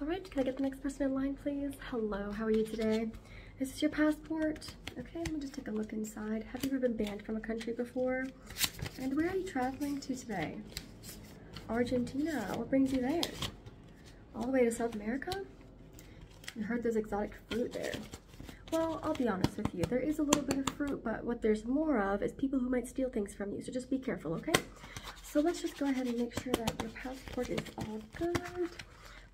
All right, can I get the next person in line, please? Hello, how are you today? Is this your passport? Okay, let me just take a look inside. Have you ever been banned from a country before? And where are you traveling to today? Argentina, what brings you there? All the way to South America? I heard there's exotic fruit there. Well, I'll be honest with you. There is a little bit of fruit, but what there's more of is people who might steal things from you. So just be careful, okay? So let's just go ahead and make sure that your passport is all good,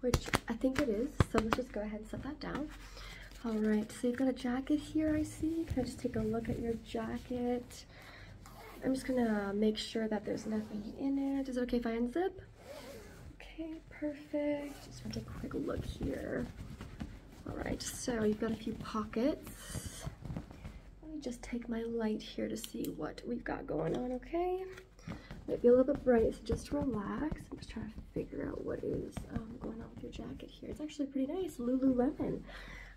which I think it is. So let's just go ahead and set that down. All right, so you've got a jacket here, I see. Can I just take a look at your jacket? I'm just gonna make sure that there's nothing in it. Is it okay if I unzip? Okay, perfect. Just take a quick look here. All right, so you've got a few pockets. Let me just take my light here to see what we've got going on, okay? Might be a little bit bright, so just relax. I'm just trying to figure out what is um, going on with your jacket here. It's actually pretty nice, Lululemon.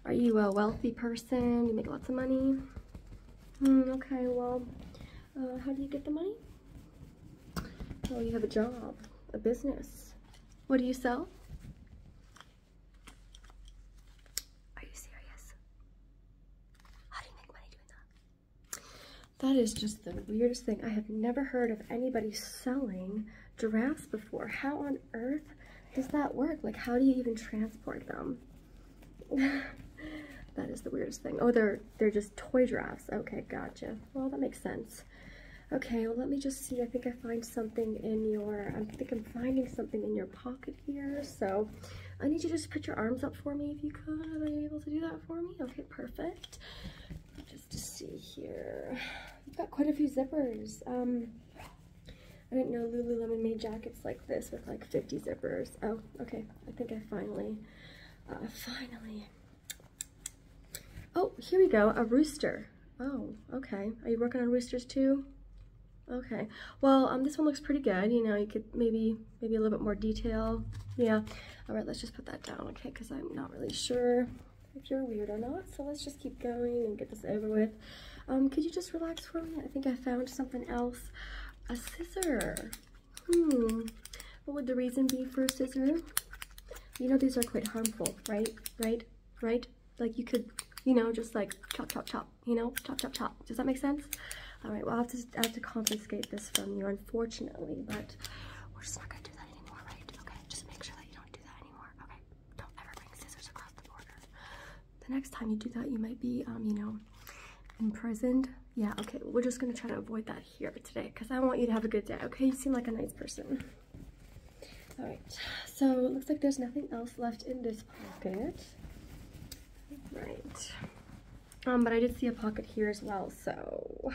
Are you a wealthy person? You make lots of money? Hmm, okay, well, uh, how do you get the money? Oh, you have a job, a business. What do you sell? Are you serious? How do you make money doing that? That is just the weirdest thing. I have never heard of anybody selling giraffes before. How on earth does that work? Like, how do you even transport them? that is the weirdest thing. Oh, they're they're just toy giraffes. Okay, gotcha. Well, that makes sense. Okay, well, let me just see. I think I find something in your, I think I'm finding something in your pocket here. So I need you to just put your arms up for me if you could. Are you able to do that for me? Okay, perfect. Just to see here. You've got quite a few zippers. Um, I didn't know Lululemon made jackets like this with like 50 zippers. Oh, okay. I think I finally, uh, finally. Oh, here we go. A rooster. Oh, okay. Are you working on roosters too? Okay, well, um, this one looks pretty good. You know, you could maybe, maybe a little bit more detail. Yeah, all right, let's just put that down, okay, because I'm not really sure if you're weird or not. So let's just keep going and get this over with. Um, could you just relax for me? I think I found something else. A scissor. Hmm, what would the reason be for a scissor? You know, these are quite harmful, right? Right? Right? Like you could, you know, just like chop, chop, chop you know, chop, chop, chop. Does that make sense? All right, well, I have to, confiscate this from you, unfortunately, but we're just not gonna do that anymore, right? Okay, just make sure that you don't do that anymore. Okay, don't ever bring scissors across the border. The next time you do that, you might be, um, you know, imprisoned. Yeah, okay, we're just gonna try to avoid that here today because I want you to have a good day, okay? You seem like a nice person. All right, so it looks like there's nothing else left in this pocket. Right. Um, but I did see a pocket here as well, so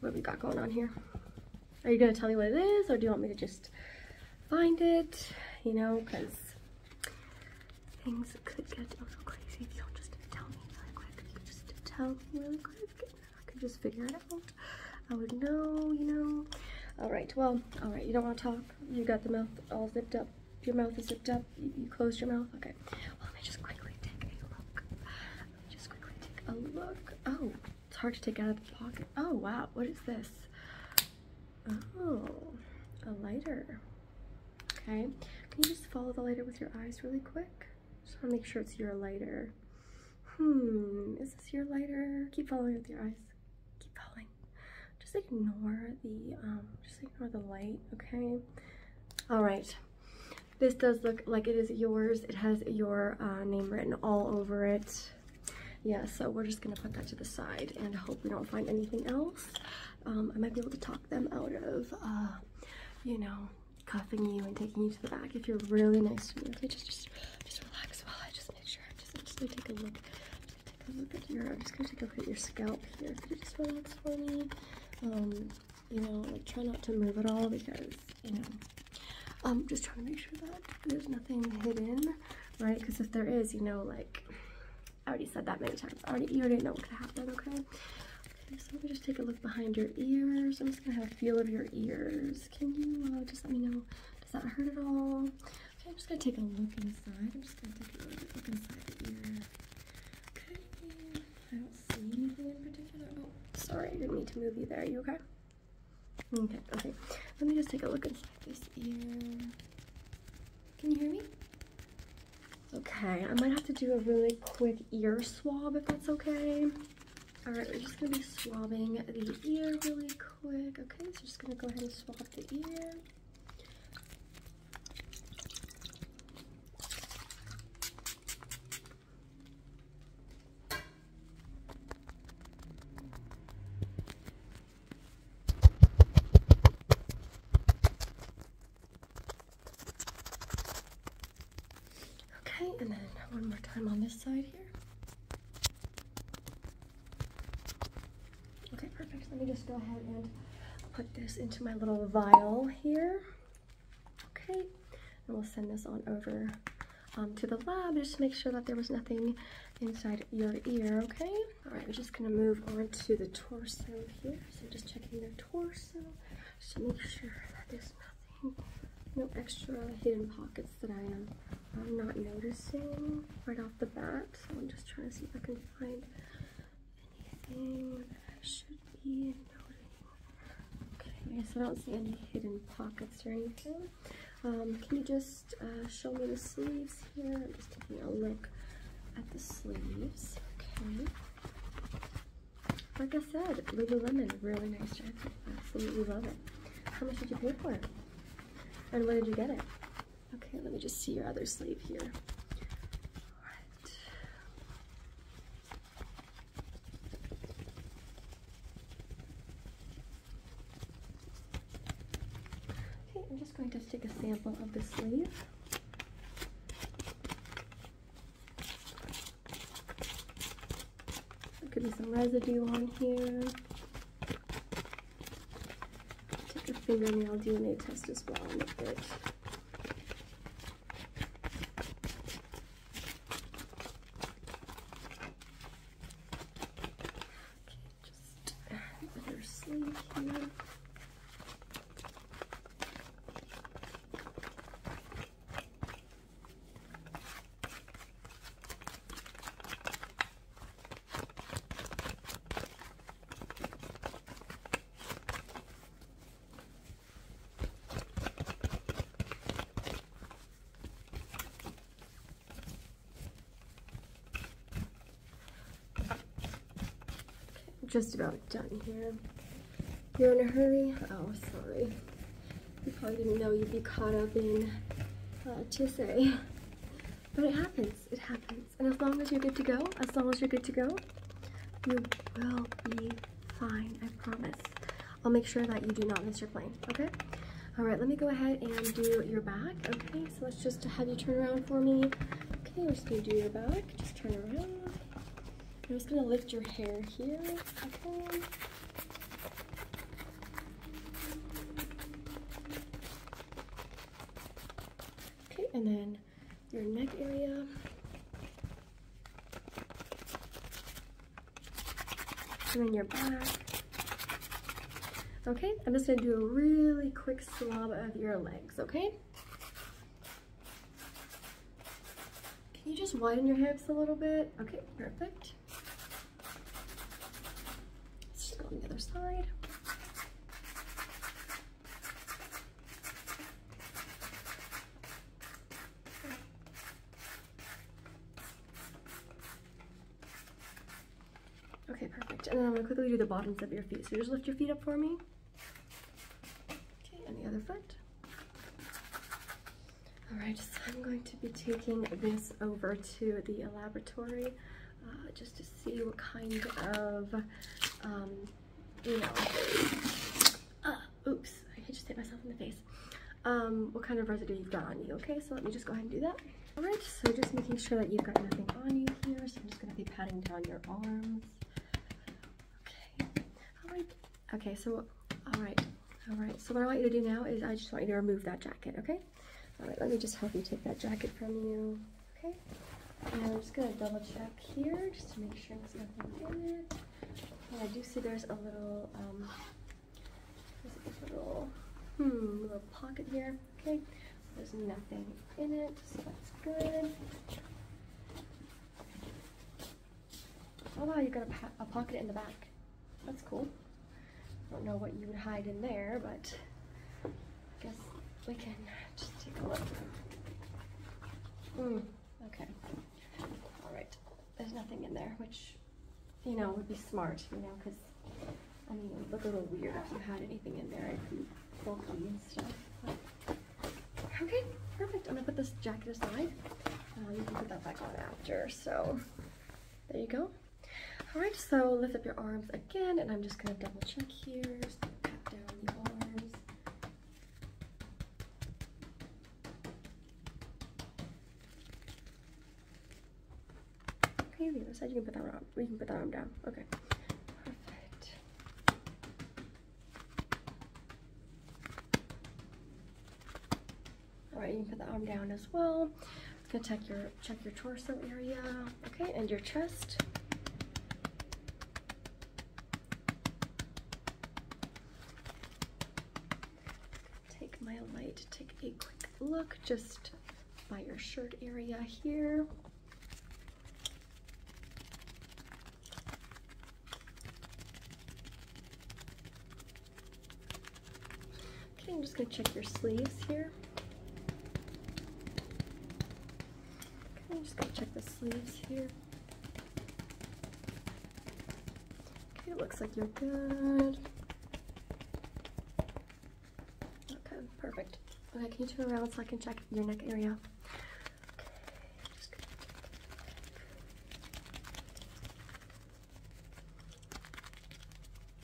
what we got going on here? Are you gonna tell me what it is, or do you want me to just find it? You know, because things could get a little crazy if you don't just tell me really quick. just tell me really quick, I could just figure it out. I would know, you know. All right, well, all right, you don't want to talk. You got the mouth all zipped up. Your mouth is zipped up. You, you closed your mouth. Okay. let me just quickly take a look. Let me just quickly take a look. Oh, it's hard to take out of the pocket. Oh, wow. What is this? Oh, a lighter. Okay. Can you just follow the lighter with your eyes really quick? Just want to make sure it's your lighter. Hmm, is this your lighter? Keep following with your eyes keep falling. Just ignore the um, just ignore the light, okay? Alright. This does look like it is yours. It has your uh, name written all over it. Yeah, so we're just gonna put that to the side and hope we don't find anything else. Um, I might be able to talk them out of, uh, you know, cuffing you and taking you to the back if you're really nice to me. Okay, just, just, just relax while I just make sure. Just, just take a look, I'm just gonna take a look at your scalp here. Could you just relax for me? you know, like try not to move at all because, you know, I'm um, just trying to make sure that there's nothing hidden, right? Because if there is, you know, like, I already said that many times. I already, you already know what could happen, okay? Okay, so let me just take a look behind your ears. I'm just gonna have a feel of your ears. Can you uh, just let me know, does that hurt at all? Okay, I'm just gonna take a look inside. I'm just gonna take a look inside the ear. Okay, I don't see anything in particular. Oh, sorry, I didn't mean to move you there. Are you okay? Okay, okay. Let me just take a look inside this ear. Can you hear me? Okay, I might have to do a really quick ear swab if that's okay. All right, we're just gonna be swabbing the ear really quick. Okay, so just gonna go ahead and swab the ear. Okay, and then one more time on this side here. Okay, perfect. Let me just go ahead and put this into my little vial here. Okay, and we'll send this on over um, to the lab just to make sure that there was nothing inside your ear, okay? All right, we're just gonna move on to the torso here. So just checking the torso, just to make sure that there's nothing, no extra hidden pockets that I'm not noticing right off the bat. So I'm just trying to see if I can find anything I should be noting. Okay, so I don't see any hidden pockets or anything. Um, can you just uh, show me the sleeves here? I'm just taking a look at the sleeves. Okay. Like I said, lemon, really nice jacket. Absolutely love it. How much did you pay for it? And where did you get it? Okay, let me just see your other sleeve here. Okay, I'm just going to take a sample of the sleeve. There could be some residue on here. Take a fingernail DNA test as well and look at just about done here. You're in a hurry? Oh, sorry. You probably didn't know you'd be caught up in uh, TSA. But it happens. It happens. And as long as you're good to go, as long as you're good to go, you will be fine, I promise. I'll make sure that you do not miss your plane, okay? All right, let me go ahead and do your back, okay? So let's just have you turn around for me. Okay, we're just gonna do your back, just turn around. I'm just gonna lift your hair here, okay? Okay, and then your neck area. And then your back. Okay, I'm just gonna do a really quick swab of your legs, okay? Can you just widen your hips a little bit? Okay, perfect. Let's just go on the other side. Okay, perfect. And then I'm gonna quickly do the bottoms of your feet. So just lift your feet up for me. Okay, and the other foot. All right, so I'm going to be taking this over to the laboratory uh, just to see what kind of, um, you know, uh, oops, I just hit myself in the face. Um, what kind of residue you've got on you, okay? So let me just go ahead and do that. All right, so just making sure that you've got nothing on you here. So I'm just gonna be patting down your arms. Okay, all right. Okay, so, all right, all right. So what I want you to do now is I just want you to remove that jacket, okay? All right, let me just help you take that jacket from you. Okay. Now we're just gonna double check here just to make sure there's nothing in it. I do see there's a little um, little hmm little pocket here. Okay. There's nothing in it, so that's good. Oh wow, you got a pocket in the back. That's cool. I don't know what you would hide in there, but I guess we can just take a look. Mm, okay. All right. There's nothing in there, which, you know, would be smart, you know, because, I mean, it would look a little weird if you had anything in there. It'd be bulky and stuff. okay, perfect. I'm going to put this jacket aside. Uh, you can put that back on after, so there you go. All right, so lift up your arms again, and I'm just gonna double check here just the Okay, the other side, you can put that arm, we can put that arm down. Okay. Perfect. All right, you can put the arm down as well. It's gonna check your check your torso area, okay, and your chest. Take my light, take a quick look just by your shirt area here. Okay, I'm just gonna check your sleeves here. Okay, I'm just gonna check the sleeves here. Okay, it looks like you're good. Okay, perfect. Okay, can you turn around so I can check your neck area?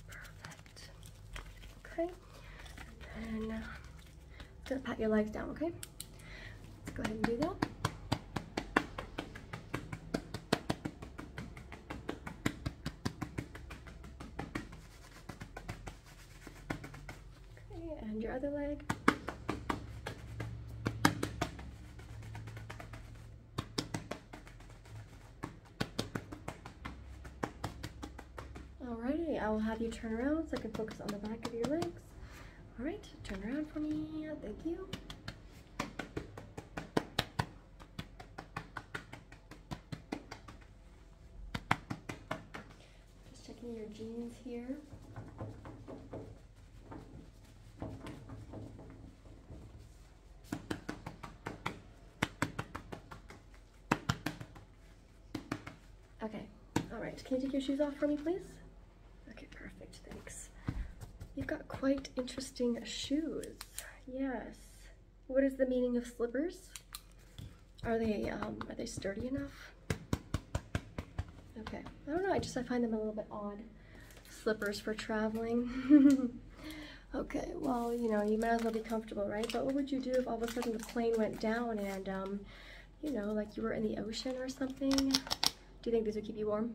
Perfect. Okay. And gonna pat your legs down, okay? Let's go ahead and do that. Okay, and your other leg. Alrighty, I will have you turn around so I can focus on the back of your legs. Alright, turn around for me. Thank you. Just checking your jeans here. Okay, all right. Can you take your shoes off for me, please? Okay, perfect, thanks. You've got quite interesting shoes. Yes. What is the meaning of slippers? Are they, um, are they sturdy enough? Okay, I don't know, I just, I find them a little bit odd. Slippers for traveling. okay, well, you know, you might as well be comfortable, right? But what would you do if all of a sudden the plane went down and, um, you know, like you were in the ocean or something. Do you think these would keep you warm?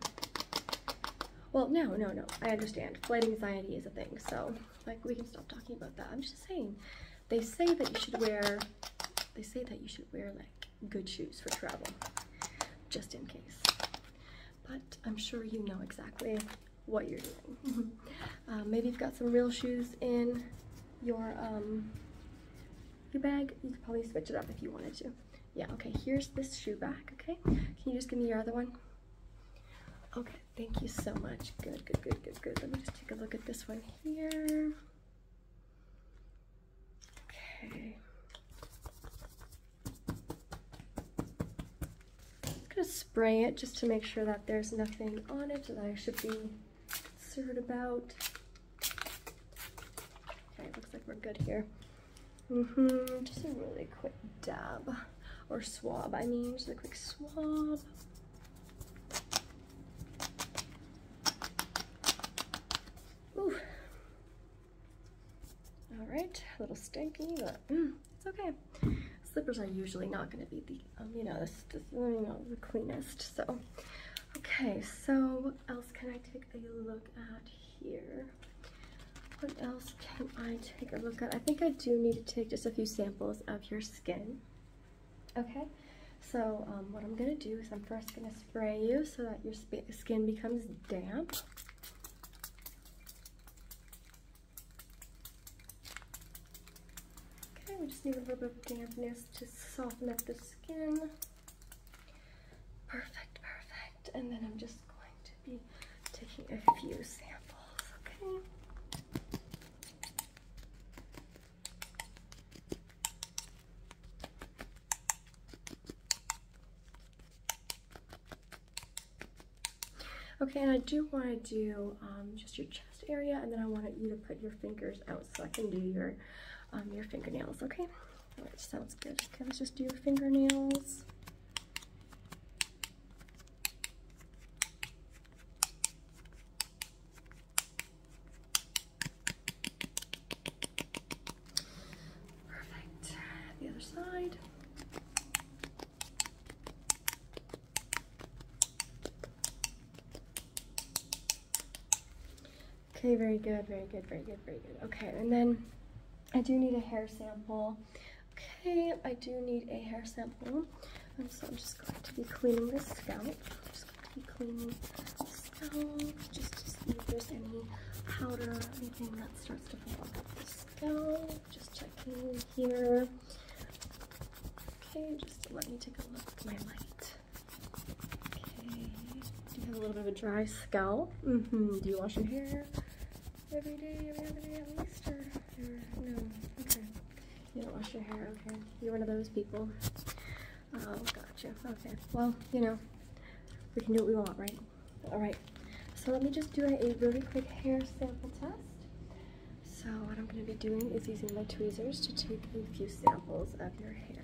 Well, no, no, no. I understand. Flight anxiety is a thing, so like we can stop talking about that. I'm just saying, they say that you should wear, they say that you should wear like good shoes for travel, just in case. But I'm sure you know exactly what you're doing. Uh, maybe you've got some real shoes in your um, your bag. You could probably switch it up if you wanted to. Yeah, okay, here's this shoe back, okay? Can you just give me your other one? Okay, thank you so much. Good, good, good, good, good. Let me just take a look at this one here. Okay. I'm gonna spray it just to make sure that there's nothing on it that I should be stirred about. Okay, looks like we're good here. Mm hmm just a really quick dab, or swab, I mean, just a quick swab. Ooh. All right, a little stinky, but mm, it's okay. Slippers are usually not gonna be the um, you know, this, this is you know, the cleanest, so. Okay, so else can I take a look at here? What else can I take a look at? I think I do need to take just a few samples of your skin. Okay, so um, what I'm gonna do is I'm first gonna spray you so that your skin becomes damp. Okay, we just need a little bit of dampness to soften up the skin. Perfect, perfect. And then I'm just going to be taking a few samples, okay? Okay, and I do want to do um, just your area, and then I want you to put your fingers out so I can do your um, your fingernails. Okay, which sounds good. let's just do your fingernails. Perfect. The other side. Okay, very good, very good, very good, very good. Okay, and then I do need a hair sample. Okay, I do need a hair sample. And so I'm just going to be cleaning the scalp. just to see if there's any powder or anything that starts to fall off the scalp. Just checking here. Okay, just let me take a look with my light. Okay. you have a little bit of a dry scalp? Mm-hmm. Do you wash your hair every day, every other day at least? Or, no? Okay. You don't wash your hair, okay. You're one of those people. Oh, gotcha. Okay. Well, you know, we can do what we want, right? All right. So let me just do a really quick hair sample test. So what I'm going to be doing is using my tweezers to take a few samples of your hair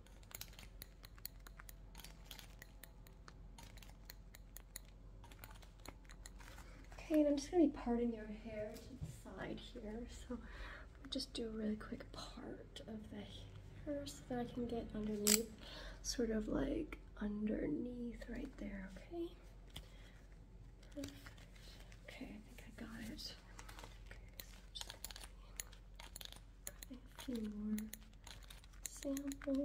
Okay, and I'm just gonna be parting your hair to the side here. So just do a really quick part of the hair so that I can get underneath, sort of like underneath right there, okay? Okay, I think I got it a few more samples.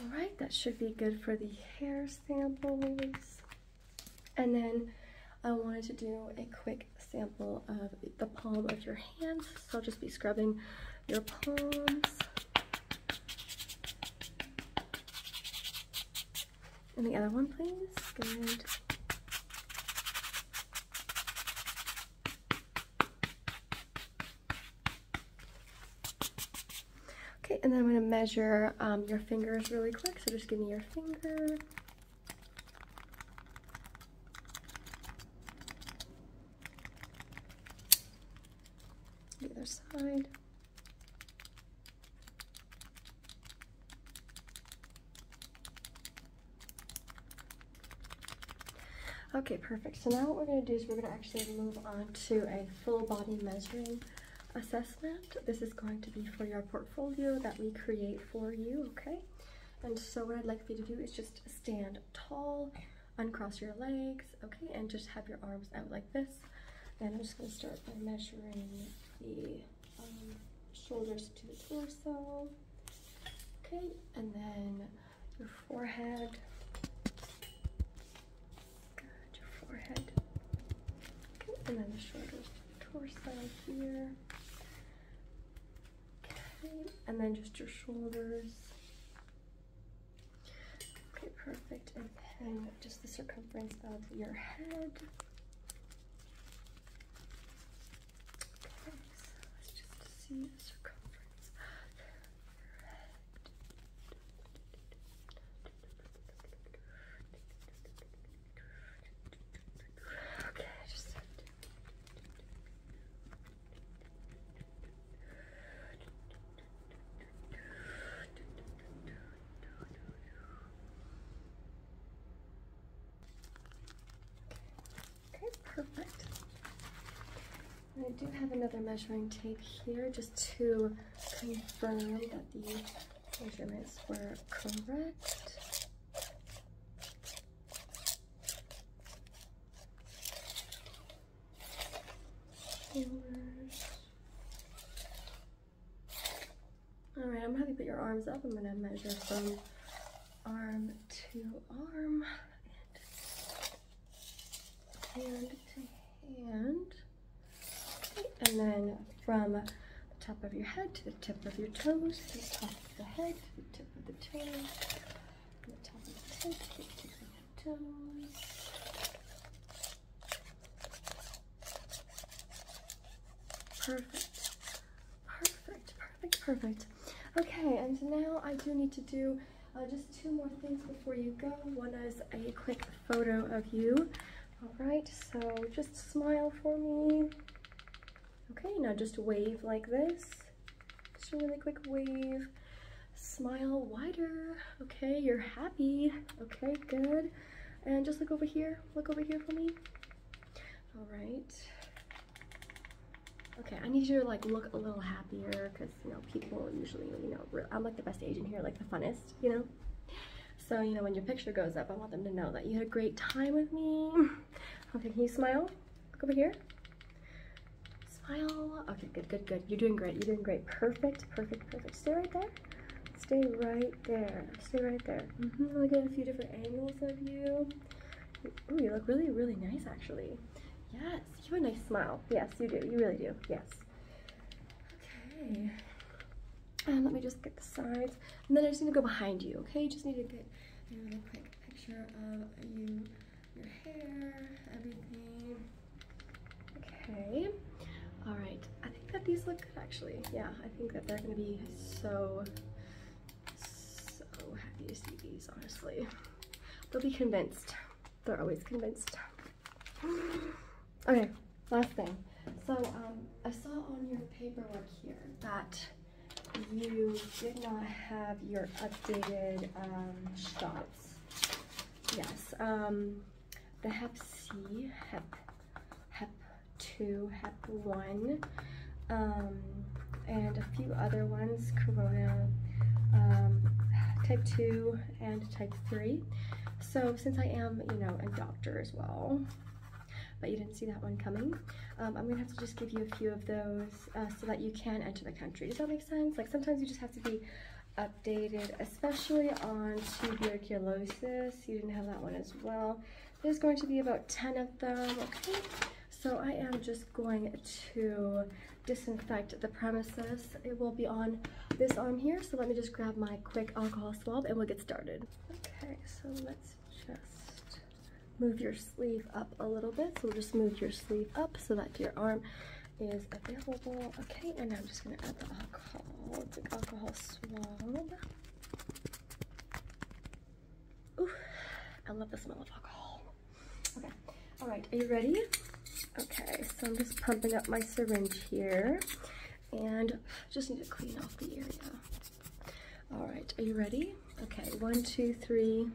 All right, that should be good for the hair samples, And then I wanted to do a quick sample of the palm of your hand. So I'll just be scrubbing your palms. And the other one, please. Good. Okay, and then I'm going to measure um, your fingers really quick. So just give me your finger the other side. Okay, perfect. So now what we're going to do is we're going to actually move on to a full body measuring assessment. This is going to be for your portfolio that we create for you, okay? And so what I'd like for you to do is just stand tall, uncross your legs, okay, and just have your arms out like this. Then I'm just gonna start by measuring the um, shoulders to the torso, okay, and then your forehead, your forehead, okay, and then the shoulders to the torso here and then just your shoulders. Okay, perfect. And then just the circumference of your head. Okay, let's just see the circumference of your head. Okay, Okay, perfect. I do have another measuring tape here just to confirm that the measurements were correct. All right, I'm gonna put your arms up. I'm gonna measure from arm to arm and to hand. and then from the top of your head to the tip of your toes, the head the tip of the toes. Perfect. Perfect, perfect, perfect. Okay, and now I do need to do uh, just two more things before you go. One is a quick photo of you. All right, so just smile for me. Okay, now just wave like this. Just a really quick wave. Smile wider. Okay, you're happy. Okay, good. And just look over here. Look over here for me. All right. Okay, I need you to like look a little happier because you know people usually you know I'm like the best agent here, like the funnest, you know. So you know when your picture goes up, I want them to know that you had a great time with me. Okay, can you smile? Look over here. Smile. Okay, good, good, good. You're doing great. You're doing great. Perfect, perfect, perfect. Stay right there. Stay right there. Stay right there. Mm -hmm. Look at a few different angles of you. Oh, you look really, really nice actually. Yes, you have a nice smile. Yes, you do. You really do. Yes. Okay. And let me just get the sides. And then I just need to go behind you, okay? You just need to get another quick picture of you your hair, everything. Okay. All right. I think that these look good actually. Yeah, I think that they're gonna be so, so happy to see these, honestly. They'll be convinced. They're always convinced. Okay, last thing. So um, I saw on your paperwork here that you did not have your updated um, shot cards. Yes, um, the HEP C, HEP, HEP 2, HEP 1, um, and a few other ones, Corona, um, type 2, and type 3. So since I am, you know, a doctor as well, but you didn't see that one coming, um, I'm going to have to just give you a few of those uh, so that you can enter the country. Does that make sense? Like sometimes you just have to be updated, especially on tuberculosis. You didn't have that one as well. There's going to be about 10 of them, okay? So I am just going to disinfect the premises. It will be on this arm here, so let me just grab my quick alcohol swab and we'll get started. Okay, so let's just move your sleeve up a little bit. So we'll just move your sleeve up so that your arm is available. Okay, and I'm just gonna add the alcohol. alcohol swab. Ooh, I love the smell of alcohol. Okay, all right, are you ready? Okay, so I'm just pumping up my syringe here and just need to clean off the area. All right, are you ready? Okay, one, two, three,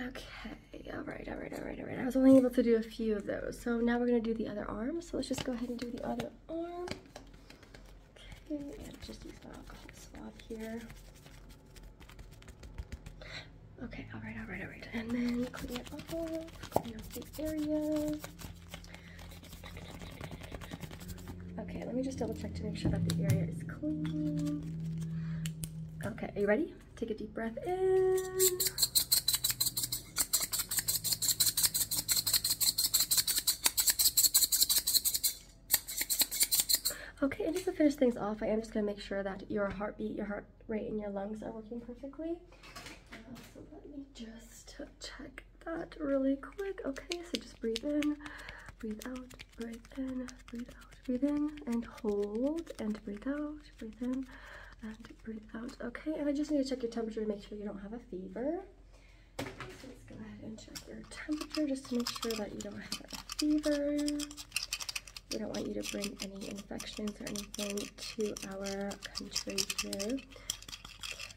Okay, all right, all right, all right, all right. I was only able to do a few of those. So now we're gonna do the other arm. So let's just go ahead and do the other arm. Okay, and just use my alcohol swab here. Okay, all right, all right, all right. And then clean it up, up area. Okay, let me just double check to make sure that the area is clean. Okay, are you ready? Take a deep breath in. Okay, and just to finish things off, I am just gonna make sure that your heartbeat, your heart Right, and your lungs are working perfectly. Um, so let me just check that really quick. Okay, so just breathe in, breathe out, breathe in, breathe out, breathe in, and hold, and breathe out, breathe in, and breathe out. Okay, and I just need to check your temperature to make sure you don't have a fever. let's go ahead and check your temperature just to make sure that you don't have a fever. We don't want you to bring any infections or anything to our country here.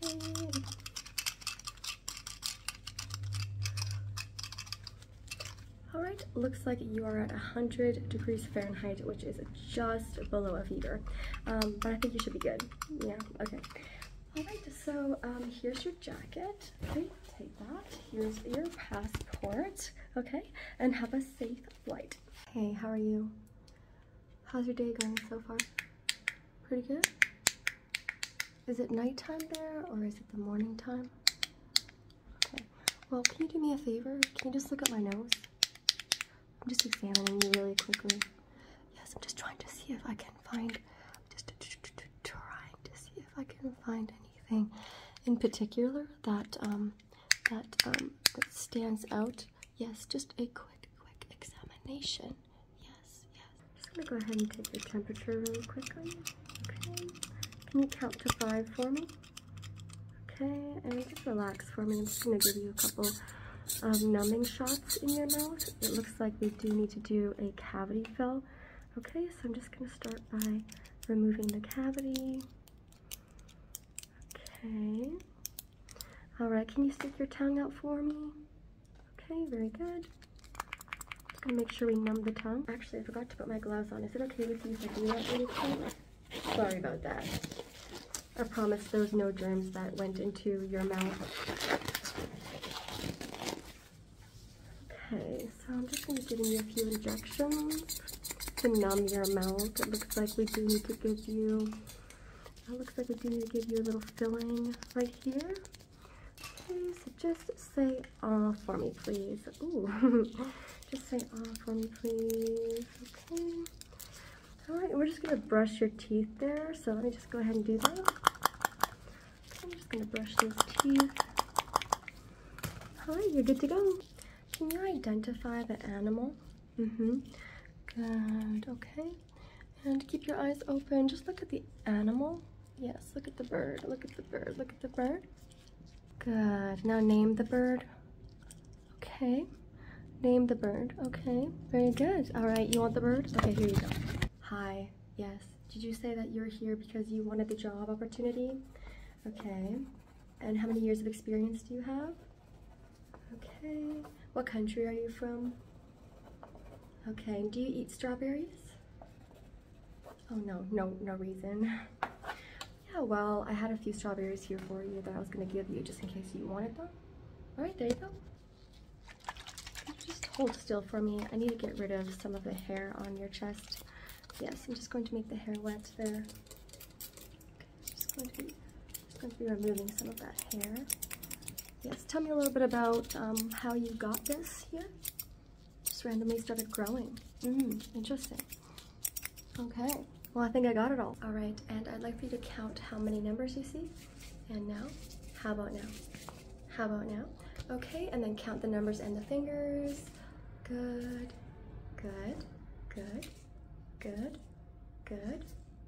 Okay. All right, looks like you are at 100 degrees Fahrenheit, which is just below a fever, um, but I think you should be good. Yeah, okay. All right, so um, here's your jacket. take that. Here's your passport, okay? And have a safe flight. Hey, how are you? How's your day going so far? Pretty good? Is it nighttime there or is it the morning time? Okay. Well, can you do me a favor? Can you just look at my nose? I'm just examining you really quickly. Yes, I'm just trying to see if I can find, just trying to see if I can find anything in particular that, um, that, um, that stands out Yes, just a quick, quick examination. Yes, yes. Just gonna go ahead and take your temperature really quickly. Okay. Can you count to five for me? Okay, and just relax for me. I'm just gonna give you a couple of numbing shots in your mouth. It looks like we do need to do a cavity fill. Okay, so I'm just gonna start by removing the cavity. Okay. All right, can you stick your tongue out for me? Okay, very good. Just gonna make sure we numb the tongue. Actually, I forgot to put my gloves on. Is it okay with you if I do that Sorry about that. I promise there's no germs that went into your mouth. Okay, so I'm just gonna give you a few injections to numb your mouth. It looks like we do need to give you that looks like we do need to give you a little filling right here. Okay, so just say all for me, please. Ooh, just say all for me, please. Okay. All right, we're just gonna brush your teeth there. So let me just go ahead and do that. I'm just gonna brush those teeth. All right, you're good to go. Can you identify the animal Mm-hmm. Good, okay. And keep your eyes open. Just look at the animal. Yes, look at the bird. Look at the bird. Look at the bird. Good. Now name the bird. Okay. Name the bird. Okay. Very good. All right. You want the bird? Okay, here you go. Hi. Yes. Did you say that you're here because you wanted the job opportunity? Okay. And how many years of experience do you have? Okay. What country are you from? Okay. Do you eat strawberries? Oh, no. No, no reason. Yeah, well, I had a few strawberries here for you that I was going to give you just in case you wanted them. All right, there you go. Just hold still for me. I need to get rid of some of the hair on your chest. Yes, I'm just going to make the hair wet there. Just going to be, just going to be removing some of that hair. Yes, tell me a little bit about um, how you got this here. Just randomly started growing. Mm, interesting. Okay, well I think I got it all. All right, and I'd like for you to count how many numbers you see. And now, how about now? How about now? Okay, and then count the numbers and the fingers. Good, good, good, good, good,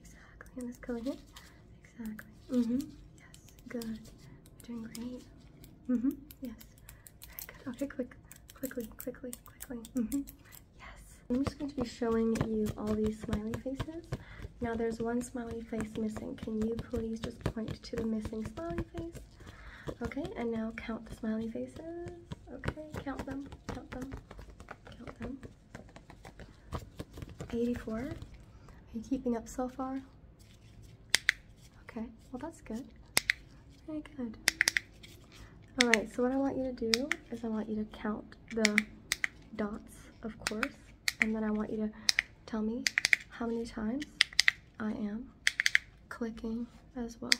Exactly. And this color here. Exactly. hmm Yes. Good. You're doing great. hmm Yes. Very good. Okay, quick. Quickly, quickly, quickly. hmm Yes. I'm just going to be showing you all these smiley faces. Now there's one smiley face missing. Can you please just point to the missing smiley face? Okay, and now count the smiley faces. Okay, count them, count them, count them. 84. Are you keeping up so far? Okay, well that's good. Very good. Alright, so what I want you to do is I want you to count the dots, of course, and then I want you to tell me how many times I am clicking as well.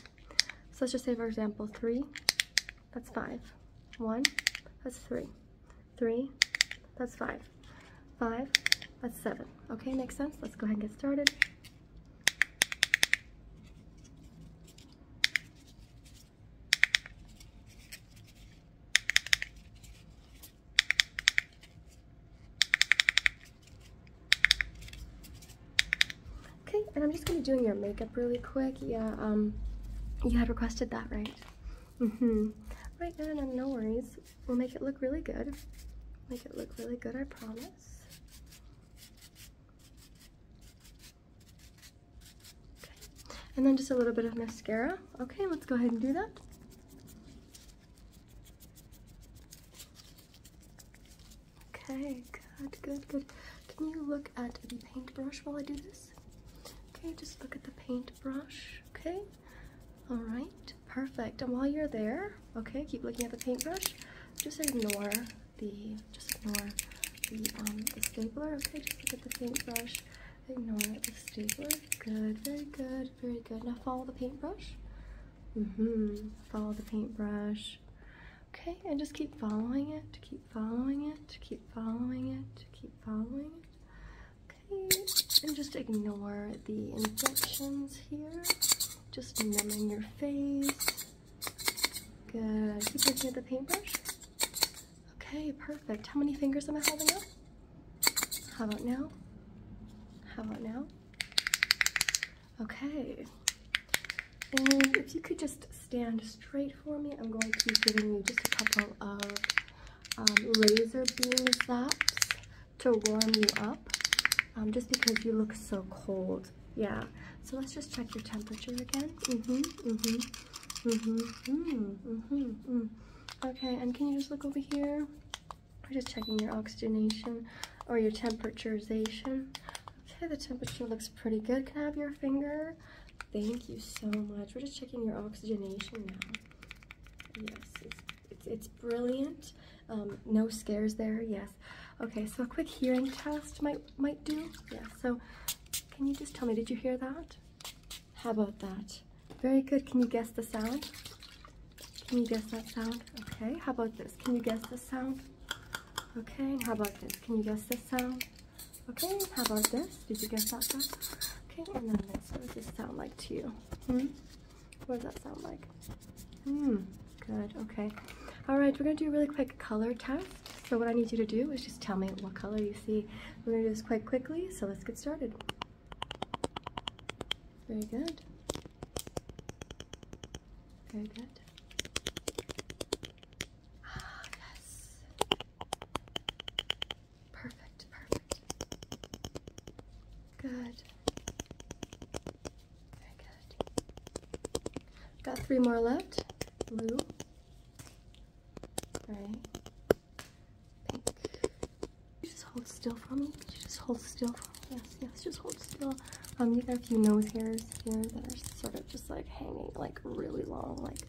So let's just say, for example, 3, that's five. One, that's three. Three, that's five. Five, that's seven. Okay, makes sense? Let's go ahead and get started. Okay, and I'm just gonna be doing your makeup really quick. Yeah, um, you had requested that, right? Mm hmm Right, good, no, um, no worries. We'll make it look really good. Make it look really good, I promise. Okay. And then just a little bit of mascara. Okay, let's go ahead and do that. Okay, good, good, good. Can you look at the paintbrush while I do this? Okay, just look at the paintbrush. Okay, all right, perfect. And while you're there, okay, keep looking at the paintbrush. Just ignore the, just ignore um, the stapler. Okay, just look at the paintbrush. Ignore the stapler. Good, very good, very good. Now follow the paintbrush. Mm-hmm. Follow the paintbrush. Okay, and just keep following it. to Keep following it, keep following it, keep following it. Okay, and just ignore the injections here. Just numbing your face. Good. Keep looking at the paintbrush. Okay, perfect. How many fingers am I holding up? How about now? How about now? Okay. And if you could just stand straight for me. I'm going to be giving you just a couple of um, laser beam zaps to warm you up um, just because you look so cold. Yeah, so let's just check your temperature again. hmm hmm hmm hmm hmm Okay, and can you just look over here? We're just checking your oxygenation or your temperaturization. Okay, the temperature looks pretty good. Can I have your finger? Thank you so much. We're just checking your oxygenation now. Yes, it's, it's, brilliant. Um, no scares there, yes. Okay, so a quick hearing test might, might do. Yes, so can you just tell me, did you hear that? How about that? Very good. Can you guess the sound? Can you guess that sound? Okay, how about this? Can you guess the sound? Okay, how about this? Can you guess this sound? Okay, how about this? Did you guess that Okay, and then this. What does this sound like to you? Hmm? What does that sound like? Hmm, good, okay. All right, we're gonna do a really quick color test. So what I need you to do is just tell me what color you see. We're gonna do this quite quickly, so let's get started. Very good. Very good. Ah, yes. Perfect, perfect. Good. Very good. Got three more left. Blue. Gray. Pink. just hold still for me. just hold still for me. Yes, yes, just hold still. Um, you got a few nose hairs here that are sort of just like hanging like really long. Like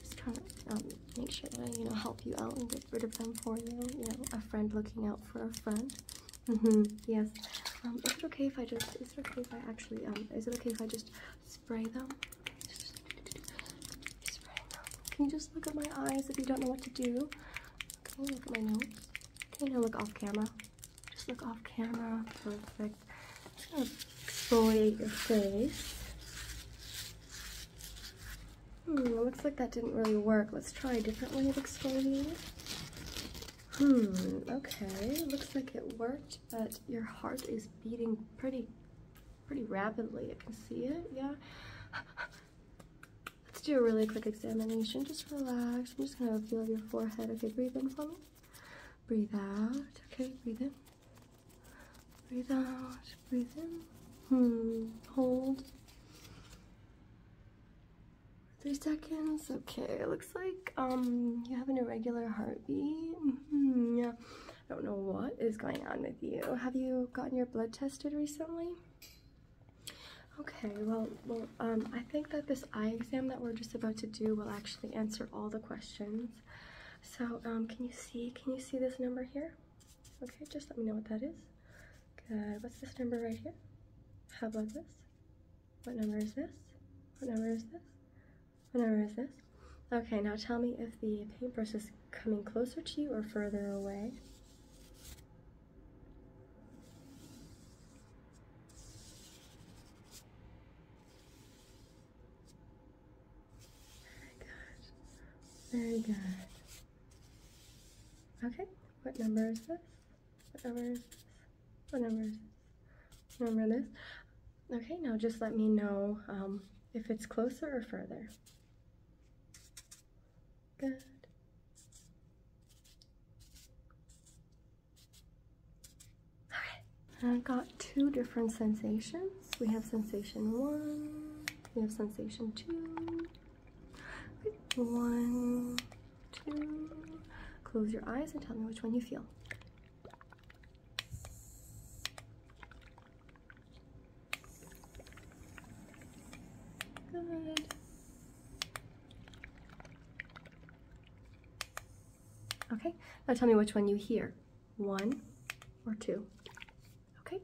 just try to um, make sure that I, you know, help you out and get rid of them for you. You know, a friend looking out for a friend. Mm-hmm. Yes. Um, is it okay if I just? Is it okay if I actually? Um, is it okay if I just spray them? spray them. Can you just look at my eyes if you don't know what to do? Okay, look at my nose? Can you now look off camera? Just look off camera. Perfect. Exfoliate your face. Hmm, looks like that didn't really work. Let's try a different way of exfoliating. Hmm, okay, looks like it worked, but your heart is beating pretty, pretty rapidly. I can see it, yeah? Let's do a really quick examination. Just relax. I'm just gonna feel your forehead. If you breathe in for me. Breathe out. Okay, breathe in. Breathe out, breathe in. Hmm, hold. Three seconds. Okay, looks like um you have an irregular heartbeat. Hmm, yeah, I don't know what is going on with you. Have you gotten your blood tested recently? Okay, well, well um, I think that this eye exam that we're just about to do will actually answer all the questions. So, um, can you see, can you see this number here? Okay, just let me know what that is. What's this number right here? How about this? What number is this? What number is this? What number is this? Okay, now tell me if the paintbrush is coming closer to you or further away. Very good. Very good. Okay, what number is this? What number is this? What number is this? Remember this? Okay, now just let me know um, if it's closer or further. Good. Okay, I've got two different sensations. We have sensation one. We have sensation two. One, two. Close your eyes and tell me which one you feel. Good. Okay, now tell me which one you hear one, or two. Okay?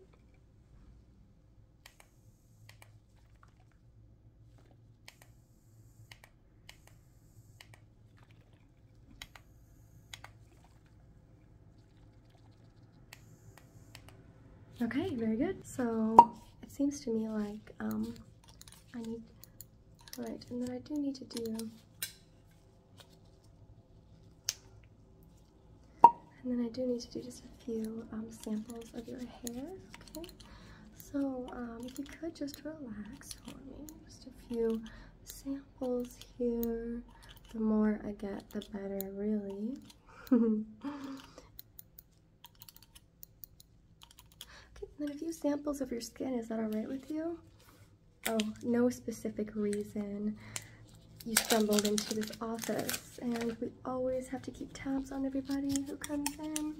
Okay, very good. So it seems to me like um, I need, right, and then I do need to do and then I do need to do just a few um, samples of your hair, okay? So um, if you could just relax for me, just a few samples here. The more I get, the better, really. okay, and then a few samples of your skin, is that alright with you? Oh, no specific reason you stumbled into this office and we always have to keep tabs on everybody who comes in.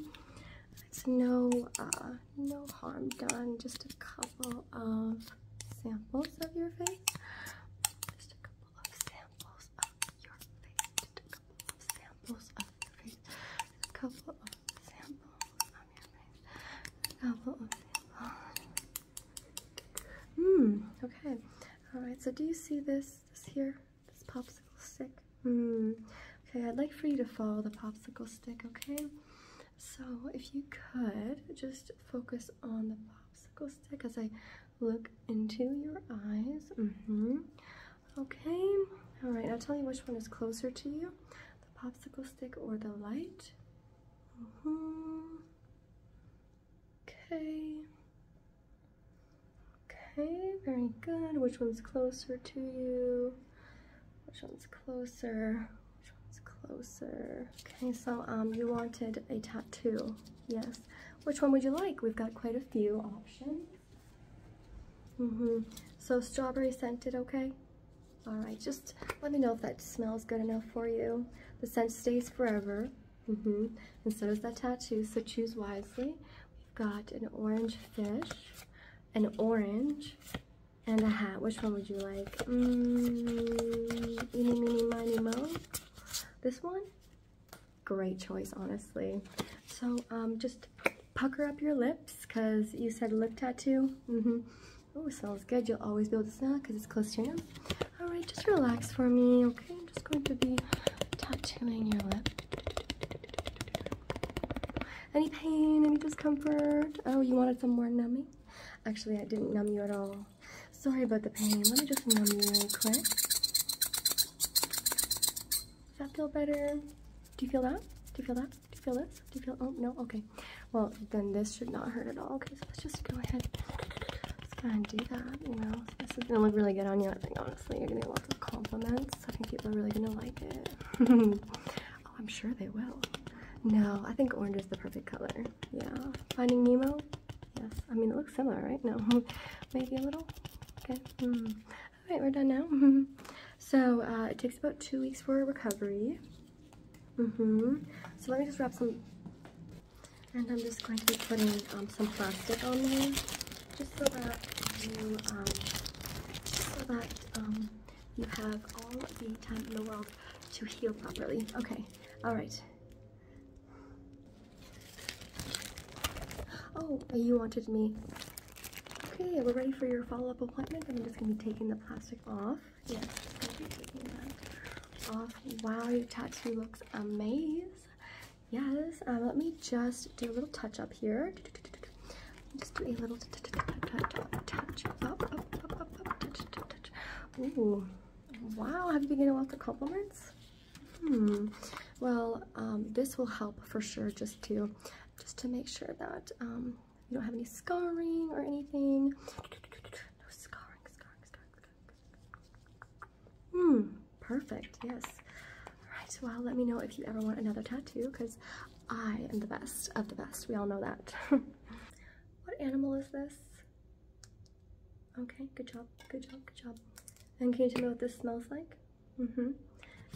It's no, uh, no harm done, just a couple of samples of your face. Just a couple of samples of your face. Just a couple of samples of your face. Just a couple of samples of your face. A couple of samples. Hmm, okay. Alright, so do you see this, this here, this popsicle stick? Hmm, okay, I'd like for you to follow the popsicle stick, okay? So if you could, just focus on the popsicle stick as I look into your eyes. hmm Okay, alright, I'll tell you which one is closer to you, the popsicle stick or the light. hmm Okay. Okay, very good. Which one's closer to you? Which one's closer? Which one's closer? Okay, so um, you wanted a tattoo. Yes. Which one would you like? We've got quite a few options. Mm-hmm. So strawberry scented, okay? All right, just let me know if that smells good enough for you. The scent stays forever. Mm -hmm. And so does that tattoo, so choose wisely. We've got an orange fish, an orange, and a hat. Which one would you like? Mmm, eeny, meeny, miny, mo. This one? Great choice, honestly. So um, just pucker up your lips, because you said lip tattoo. Mm -hmm. Oh, smells good. You'll always be able to smell because it's close to you. All right, just relax for me, okay? I'm just going to be tattooing your lip. Any pain? Any discomfort? Oh, you wanted some more numbing? Actually, I didn't numb you at all. Sorry about the pain. Let me just numb you really quick. Does that feel better? Do you feel that? Do you feel that? Do you feel this? Do you feel? Oh, no? Okay. Well, then this should not hurt at all. Okay, so let's just go ahead just gotta do that, you know. This is gonna look really good on you. I think honestly, you're gonna get lots of compliments. I think people are really gonna like it. oh, I'm sure they will. No, I think orange is the perfect color. Yeah. Finding Nemo? Yes. I mean, it looks similar, right? No. Maybe a little? Okay. Hmm. Alright, we're done now. so, uh, it takes about two weeks for recovery. Mm-hmm. So let me just wrap some and I'm just going to be putting um, some plastic on there, just so that you, um, so that um, you have all the time in the world to heal properly. Okay, all right. Oh, you wanted me. Okay, we're ready for your follow-up appointment. I'm just going to be taking the plastic off. Yes, Wow, your tattoo looks amazing. Yes, uh, let me just do a little touch up here. Just do a little touch up, up, up, up, up, Ooh, wow, have you been getting a lot of compliments? Hmm, well, um, this will help for sure just to, just to make sure that um, you don't have any scarring or anything. No scarring, scarring, scarring, Hmm, perfect, yes. Alright, well, uh, let me know if you ever want another tattoo, because I am the best of the best. We all know that. what animal is this? Okay, good job, good job, good job. And can you tell me what this smells like? Mm-hmm.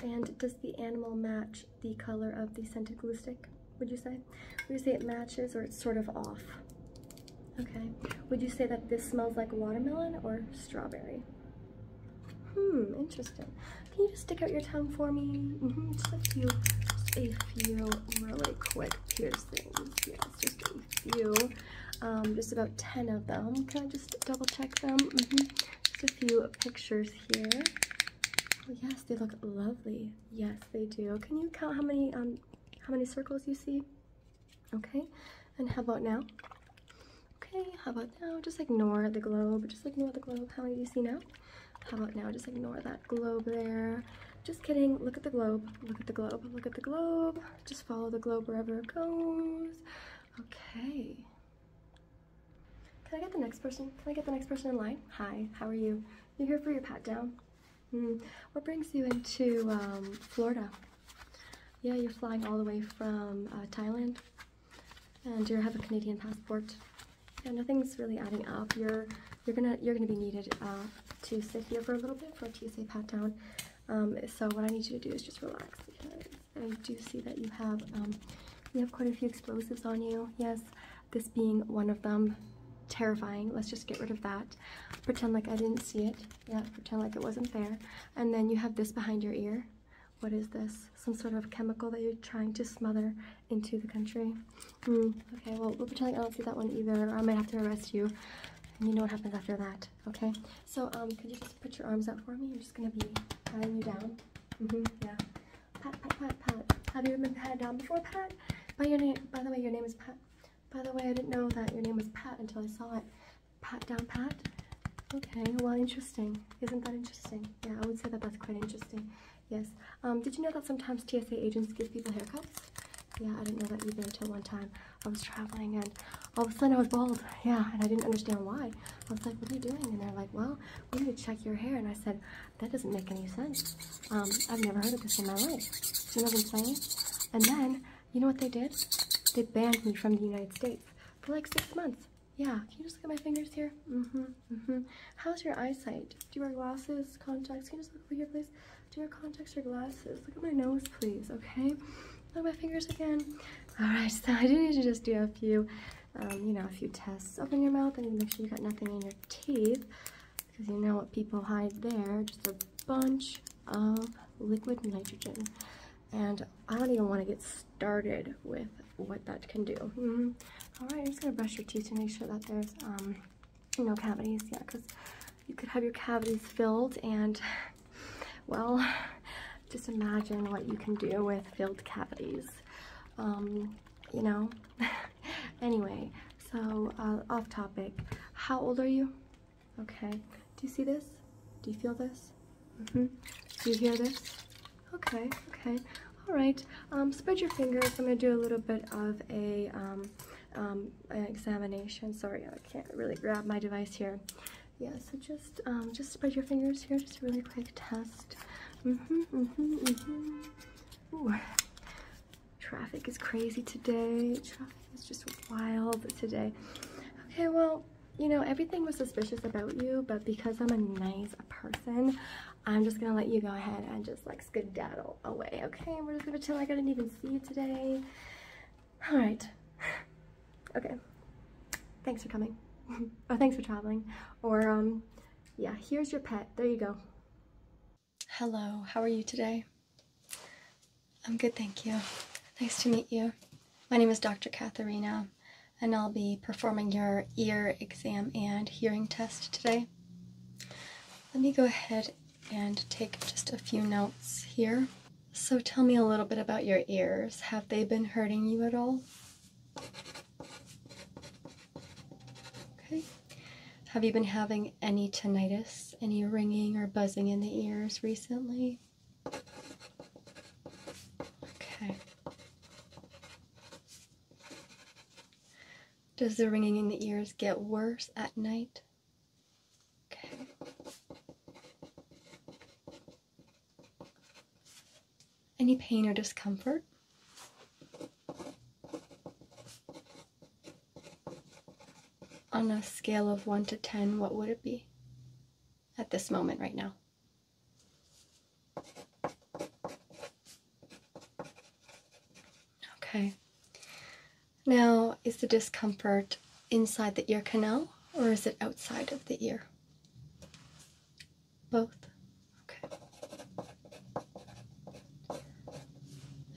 And does the animal match the color of the scented glue stick, would you say? Would you say it matches or it's sort of off? Okay. Would you say that this smells like watermelon or strawberry? Hmm, interesting. Can you just stick out your tongue for me? Mm-hmm, just a few, a few really quick piercings. Yes, just a few. Um, just about 10 of them. Can I just double check them? Mm-hmm. Just a few pictures here. Oh, yes, they look lovely. Yes, they do. Can you count how many um how many circles you see? Okay, and how about now? Okay, how about now? Just ignore the globe. Just ignore the globe. How do you see now? How about now? Just ignore that globe there. Just kidding. Look at the globe. Look at the globe. Look at the globe. Just follow the globe wherever it goes. Okay. Can I get the next person? Can I get the next person in line? Hi, how are you? you here for your pat down. Hmm. What brings you into um, Florida? Yeah, you're flying all the way from uh, Thailand, and you have a Canadian passport. Yeah, nothing's really adding up. You're you're gonna you're gonna be needed uh, to sit here for a little bit for a TSA pat down. Um, so what I need you to do is just relax because I do see that you have um, you have quite a few explosives on you. Yes, this being one of them. Terrifying. Let's just get rid of that. Pretend like I didn't see it yeah, pretend like it wasn't there. And then you have this behind your ear. What is this? Some sort of chemical that you're trying to smother into the country. Mm, okay, well, we'll pretend like I don't see that one either, I might have to arrest you. And you know what happens after that, okay? So, um, could you just put your arms out for me? I'm just gonna be patting you down. Mm-hmm, yeah. Pat, pat, pat, pat. Have you ever been pat down before, Pat? By, your name, by the way, your name is Pat. By the way, I didn't know that your name was Pat until I saw it. Pat down Pat? Okay, well, interesting. Isn't that interesting? Yeah, I would say that that's quite interesting. Yes. Um, did you know that sometimes TSA agents give people haircuts? Yeah, I didn't know that either until one time. I was traveling and all of a sudden I was bald. Yeah, and I didn't understand why. I was like, what are you doing? And they're like, well, we need to check your hair. And I said, that doesn't make any sense. Um, I've never heard of this in my life. You know what I'm saying? And then you know what they did? They banned me from the United States for like six months. Yeah, can you just look at my fingers here? Mm-hmm, mm-hmm. How's your eyesight? Do you wear glasses, contacts? Can you just look over here, please? Do you wear contacts or glasses? Look at my nose, please, okay? Look at my fingers again. All right, so I do need to just do a few, um, you know, a few tests. Open your mouth and make sure you got nothing in your teeth because you know what people hide there, just a bunch of liquid nitrogen. And I don't even want to get started with what that can do. Mm-hmm. All right, I'm just gonna brush your teeth to make sure that there's um, no cavities. Yeah, because you could have your cavities filled, and well, just imagine what you can do with filled cavities. Um, you know. anyway, so uh, off topic. How old are you? Okay. Do you see this? Do you feel this? hmm Do you hear this? Okay, okay. All right. Um, spread your fingers. I'm going to do a little bit of a um, um, examination. Sorry, I can't really grab my device here. Yeah, so just um, just spread your fingers here. Just a really quick test. hmm hmm hmm Traffic is crazy today. It's just wild today. Okay, well, you know, everything was suspicious about you, but because I'm a nice person, I'm just gonna let you go ahead and just like skedaddle away, okay? We're just gonna tell like I didn't even see you today. All right. Okay. Thanks for coming. or thanks for traveling. Or, um, yeah, here's your pet. There you go. Hello, how are you today? I'm good, thank you. Nice to meet you. My name is Dr. Katharina, and I'll be performing your ear exam and hearing test today. Let me go ahead and take just a few notes here. So tell me a little bit about your ears. Have they been hurting you at all? Okay. Have you been having any tinnitus, any ringing or buzzing in the ears recently? Okay. Does the ringing in the ears get worse at night? Okay. Any pain or discomfort? on a scale of 1 to 10, what would it be at this moment right now? Okay. Now, is the discomfort inside the ear canal or is it outside of the ear? Both. Okay.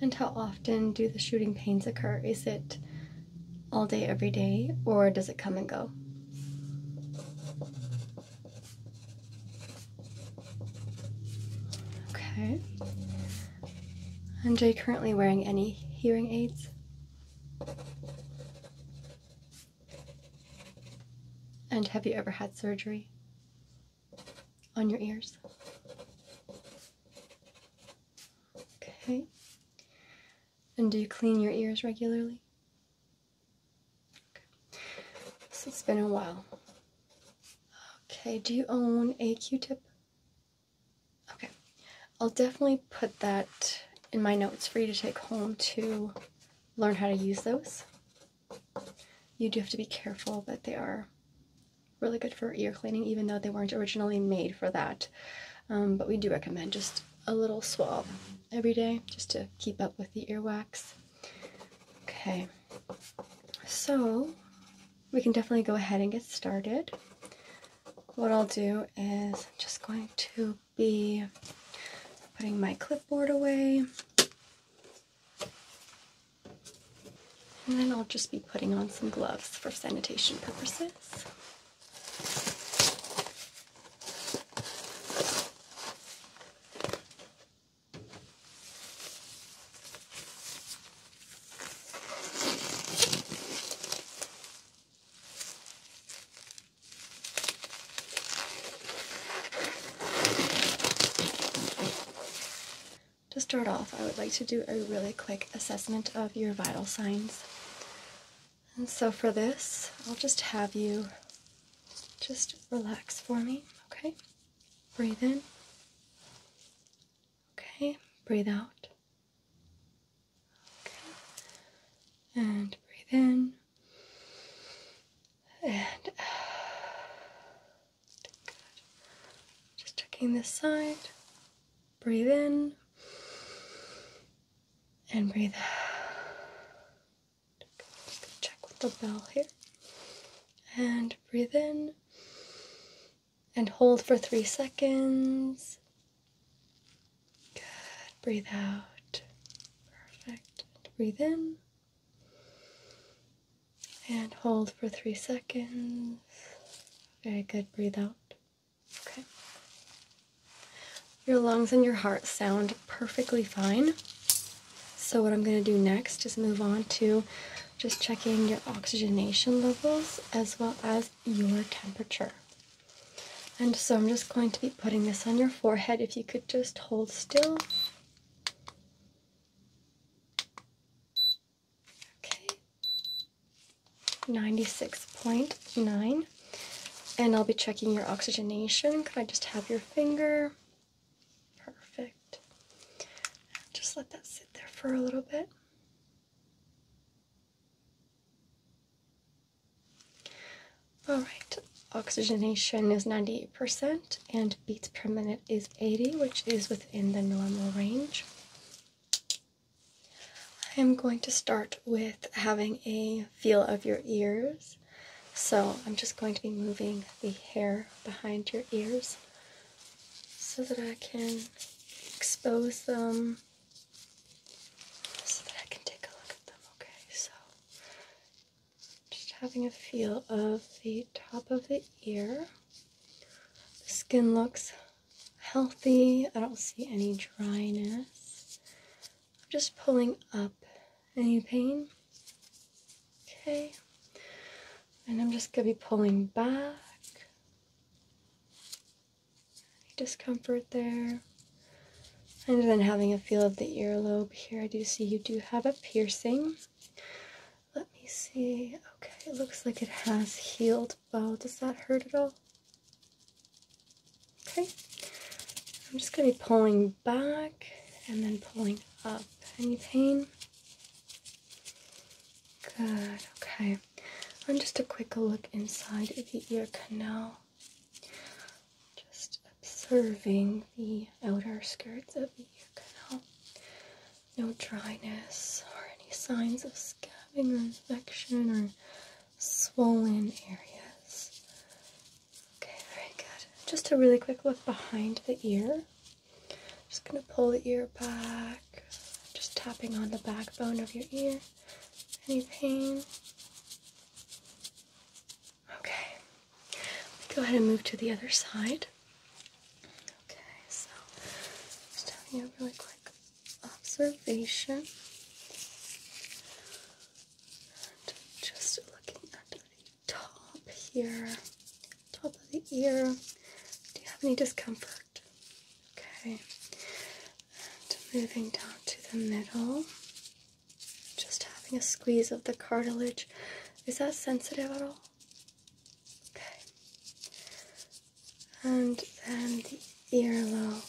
And how often do the shooting pains occur? Is it all day, every day, or does it come and go? Okay. And are you currently wearing any hearing aids? And have you ever had surgery on your ears? Okay. And do you clean your ears regularly? Okay. So it's been a while. Okay, do you own a Q-tip? Okay. I'll definitely put that in my notes for you to take home to learn how to use those. You do have to be careful, that they are really good for ear cleaning, even though they weren't originally made for that. Um, but we do recommend just a little swab every day just to keep up with the earwax. Okay, so we can definitely go ahead and get started. What I'll do is I'm just going to be putting my clipboard away. And then I'll just be putting on some gloves for sanitation purposes. To start off, I would like to do a really quick assessment of your vital signs. And so for this, I'll just have you just relax for me, okay? Breathe in. Okay, breathe out. Okay. And breathe in. And Just checking this side. Breathe in and breathe out. check with the bell here. And breathe in and hold for three seconds. Good. Breathe out. Perfect. breathe in and hold for three seconds. Very good. Breathe out. Okay. Your lungs and your heart sound perfectly fine. So, what I'm going to do next is move on to just checking your oxygenation levels as well as your temperature. And so, I'm just going to be putting this on your forehead. If you could just hold still. Okay. 96.9. And I'll be checking your oxygenation. Can I just have your finger? Perfect. Just let that sit there for a little bit. All right, oxygenation is 98% and beats per minute is 80, which is within the normal range. I am going to start with having a feel of your ears. So I'm just going to be moving the hair behind your ears so that I can expose them so that I can take a look at them. Okay, so just having a feel of the top of the ear. The skin looks healthy. I don't see any dryness. I'm just pulling up any pain. Okay. And I'm just going to be pulling back. Any discomfort there? And then having a feel of the earlobe here. I do see you do have a piercing. Let me see. Okay, it looks like it has healed old Does that hurt at all? Okay. I'm just going to be pulling back and then pulling up. Any pain? Good. Okay. And just a quick look inside the ear canal. Just observing the outer skirts of the ear canal. No dryness or any signs of scabbing or infection or swollen areas. Okay, very good. Just a really quick look behind the ear. Just going to pull the ear back, just tapping on the backbone of your ear. Any pain? Okay. Go ahead and move to the other side. Okay, so just having a really quick observation just looking at the top here, top of the ear. Do you have any discomfort? Okay, and moving down to the middle, just having a squeeze of the cartilage. Is that sensitive at all? Okay, and then the earlobe.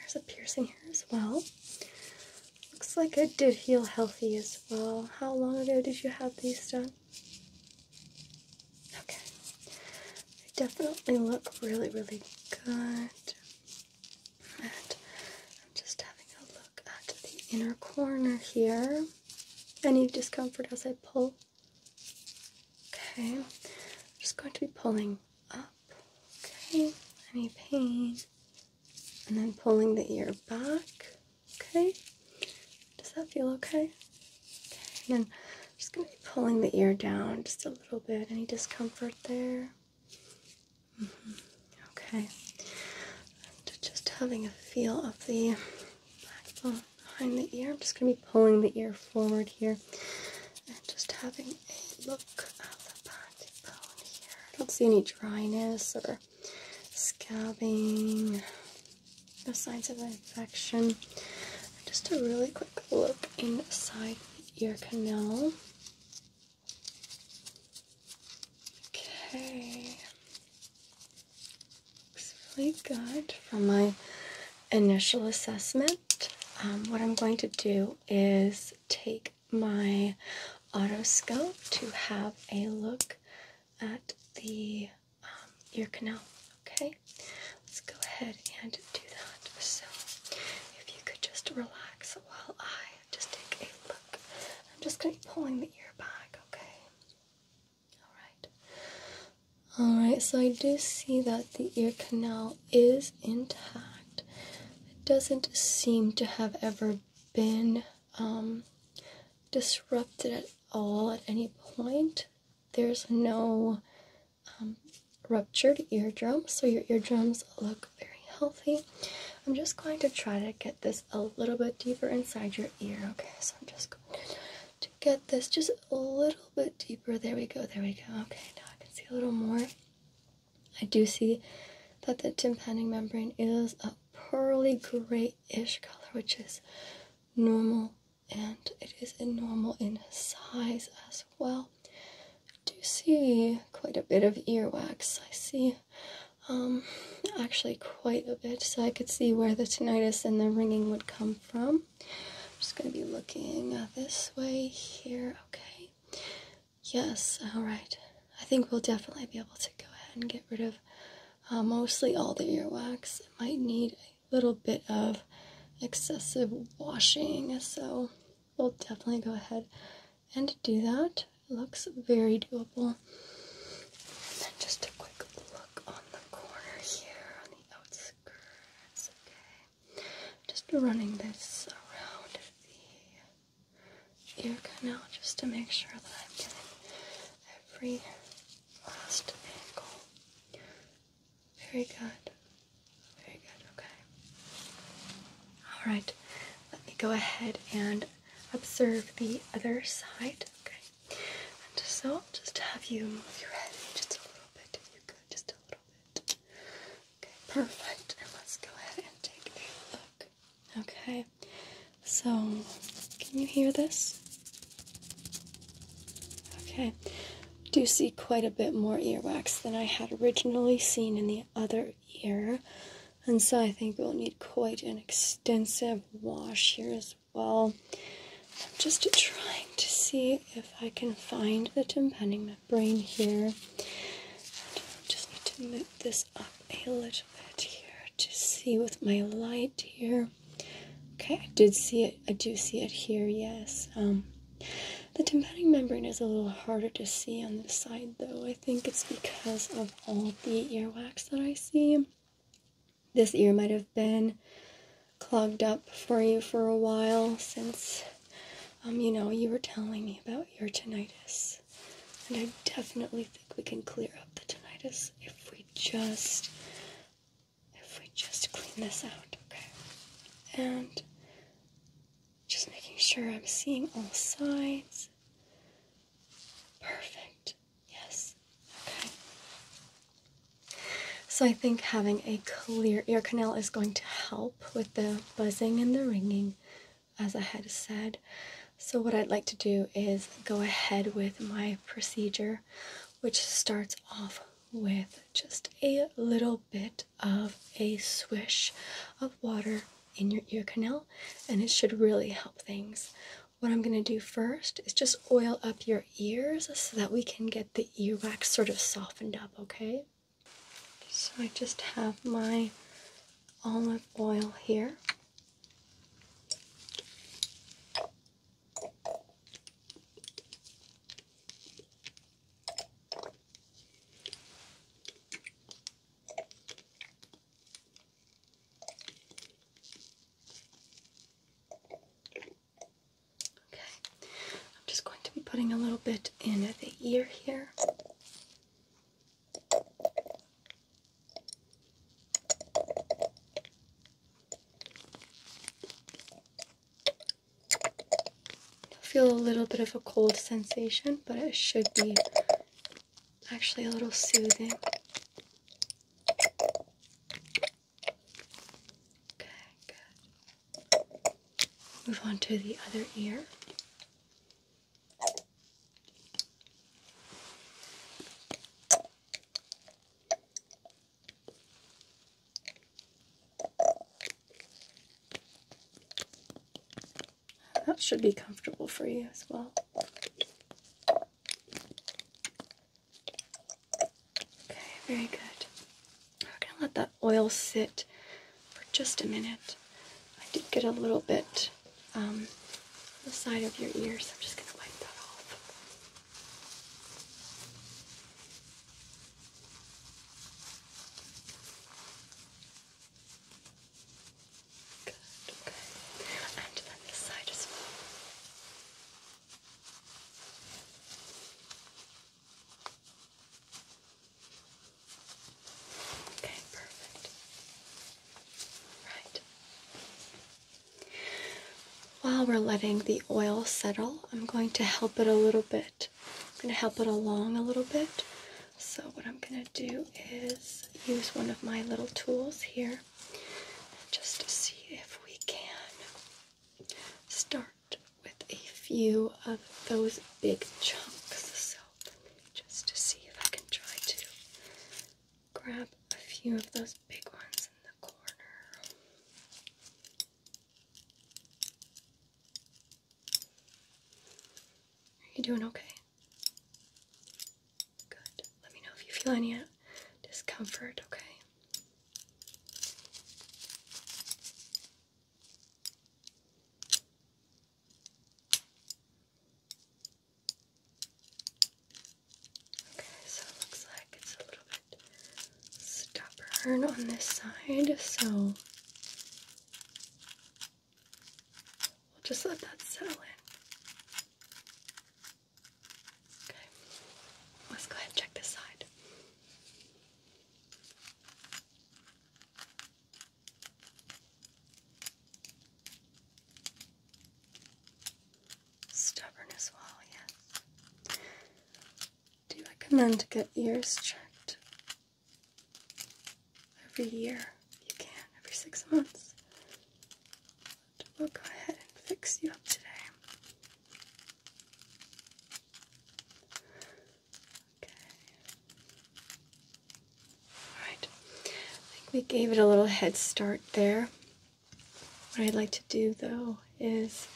There's a piercing here as well. Looks like I did feel healthy as well. How long ago did you have these done? Okay. They definitely look really, really good. And I'm just having a look at the inner corner here. Any discomfort as I pull? Okay. just going to be pulling up. Okay, any pain. And then pulling the ear back. Okay, does that feel okay? Okay, and then just going to be pulling the ear down just a little bit. Any discomfort there? -hmm. Okay, just having a feel of the back backbone behind the ear. I'm just going to be pulling the ear forward here and just having a look at the back bone here. I don't see any dryness or scabbing, no signs of infection. Just a really quick look inside the ear canal. Okay, looks really good from my initial assessment. Um, what I'm going to do is take my otoscope to have a look at the um, ear canal. Okay, let's go ahead and do that. So, if you could just relax while I just take a look, I'm just going to be pulling the ear back. Okay, all right, all right. So I do see that the ear canal is intact. It doesn't seem to have ever been um, disrupted at all at any point. There's no um, ruptured eardrum, so your eardrums look very healthy. I'm just going to try to get this a little bit deeper inside your ear, okay? So I'm just going to get this just a little bit deeper. There we go, there we go. Okay, now I can see a little more. I do see that the tympanic membrane is a pearly grayish color, which is normal and it is normal in size as well. I do see quite a bit of earwax. I see um, actually quite a bit, so I could see where the tinnitus and the ringing would come from. I'm just gonna be looking uh, this way here. Okay. Yes. All right. I think we'll definitely be able to go ahead and get rid of uh, mostly all the earwax. It might need a little bit of excessive washing, so we'll definitely go ahead and do that. looks very doable. And then just a quick look on the corner here on the outskirts. Okay. Just running this around the ear canal just to make sure that I'm getting every last angle. Very good. Very good. Okay. All right. Let me go ahead and observe the other side. Okay. And so I'll just have you move your head just a little bit if you could. Just a little Okay, perfect. let's go ahead and take a look. Okay, so can you hear this? Okay, I do see quite a bit more earwax than I had originally seen in the other ear, and so I think we'll need quite an extensive wash here as well. I'm just trying to see if I can find the tympanic brain here. Just need to move this up a little bit here to see with my light here. Okay, I did see it. I do see it here. Yes. Um, the tympanic membrane is a little harder to see on this side, though. I think it's because of all the ear wax that I see. This ear might have been clogged up for you for a while since um, you know, you were telling me about your tinnitus, and I definitely think we can clear up the tinnitus if we just if we just clean this out, okay? And just making sure I'm seeing all sides. Perfect. Yes. Okay. So I think having a clear ear canal is going to help with the buzzing and the ringing, as I had said. So, what I'd like to do is go ahead with my procedure, which starts off with just a little bit of a swish of water in your ear canal, and it should really help things. What I'm going to do first is just oil up your ears so that we can get the ear wax sort of softened up, okay? So I just have my olive oil here. Okay, I'm just going to be putting a little bit in at the ear here. Feel a little bit of a cold sensation, but it should be actually a little soothing. Okay, good. Move on to the other ear. That should be comfortable for you as well. Okay, very good. We're gonna let that oil sit for just a minute. I did get a little bit um, on the side of your ear, so I'm just gonna wipe that off. Good, okay. And then this side as well. Okay, perfect. Right. While we're letting the oil settle, I'm going to help it a little bit. I'm going to help it along a little bit. So, what I'm going to do is use one of my little tools here just to see if we can start with a few of those big chunks. So just to see if I can try to grab a few of those big ones in the corner. Are you doing okay? Good. Let me know if you feel any discomfort, okay? Okay, so looks like it's a little bit stubborn on this side, so we'll just let that settle in. Okay, let's go ahead and check this side. Stubborn as yes. Do you recommend to get ears checked? Every year, you can, every six months. we'll go ahead and fix you up today. Alright. I think we gave it a little head start there. What I'd like to do though is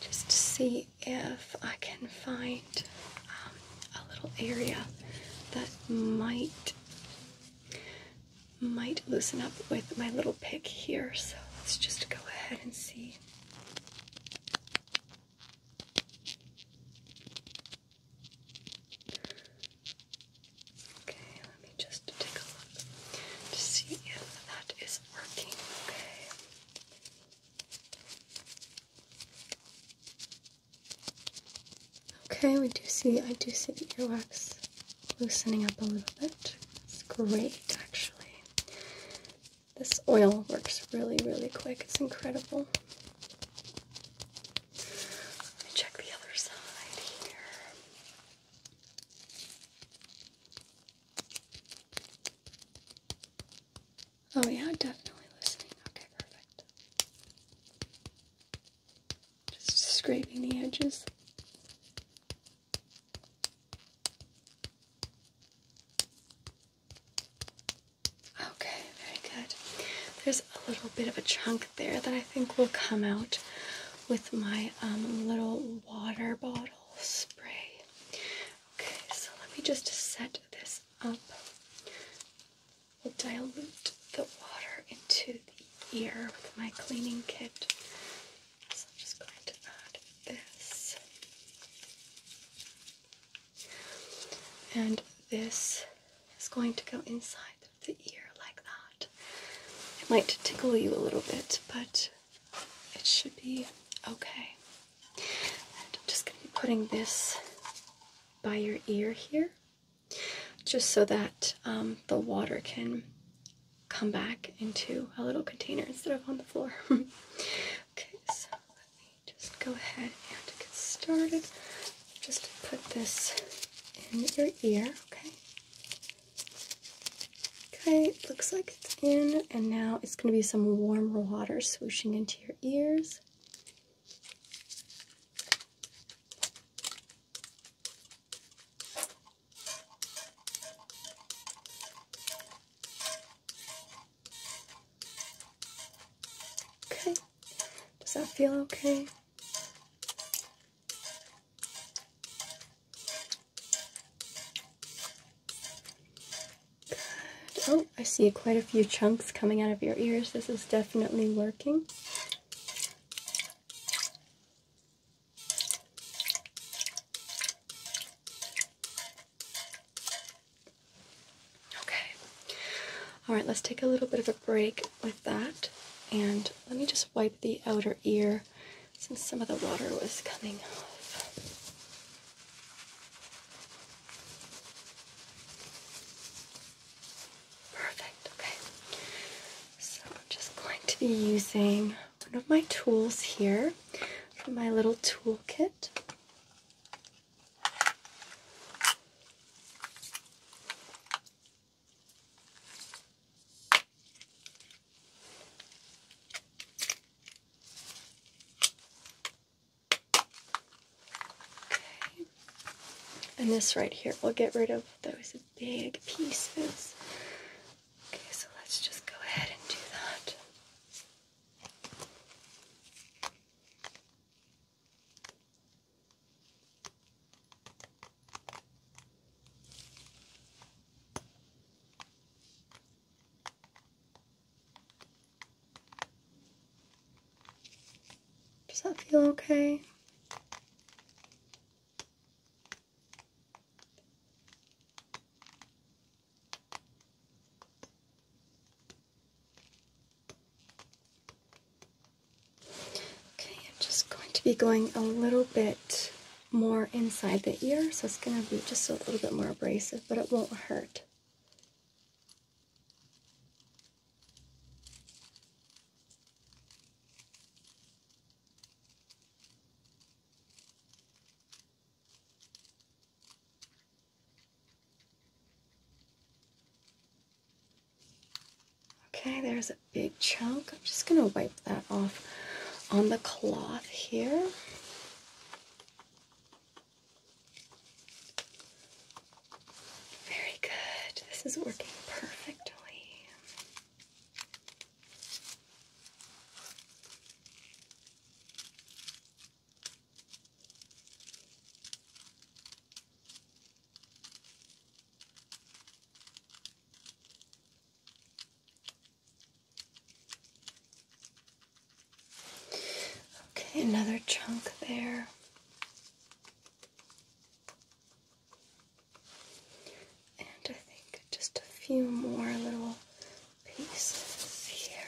just see if I can find um, a little area that might might loosen up with my little pick here. So let's just go ahead and see. Okay, let me just take a look to see if that is working. Okay. Okay, we do see, I do see the earwax loosening up a little bit. It's great, actually. This oil works really, really quick. It's incredible. check the other side here. Oh, yeah, definitely listening. Okay, perfect. Just scraping the edges. Okay, very good. There's a little bit of a chunk there that I think will come out with my um, little water bottle spray. Okay, so let me just set this up. We'll dilute the water into the ear with my cleaning kit. So I'm just going to add this. And this is going to go inside the ear like that. It might tickle you a little bit, but it should be okay. And I'm just going to be putting this by your ear here, just so that um, the water can come back into a little container instead of on the floor. okay, so just go ahead and get started, just put this in your ear, okay? Okay, looks like it's in, and now it's going to be some warm water swooshing into your ears. Okay. Does that feel okay? Oh, I see quite a few chunks coming out of your ears. This is definitely working. Okay. All right, let's take a little bit of a break with that. And let me just wipe the outer ear since some of the water was coming off. Perfect, okay. So I'm just going to be using one of my tools here from my little toolkit. Okay. And this right here, will get rid of those big pieces. Okay, so let's just go ahead and do that. Does that feel okay? Okay, I'm just going to be going a little bit more inside the ear, so it's going to be just a little bit more abrasive, but it won't hurt. Okay, there's a big chunk. I'm just going to wipe that off on the cloth here. Very good. This is working perfectly. Okay, another chunk there. And I think just a few more little pieces here.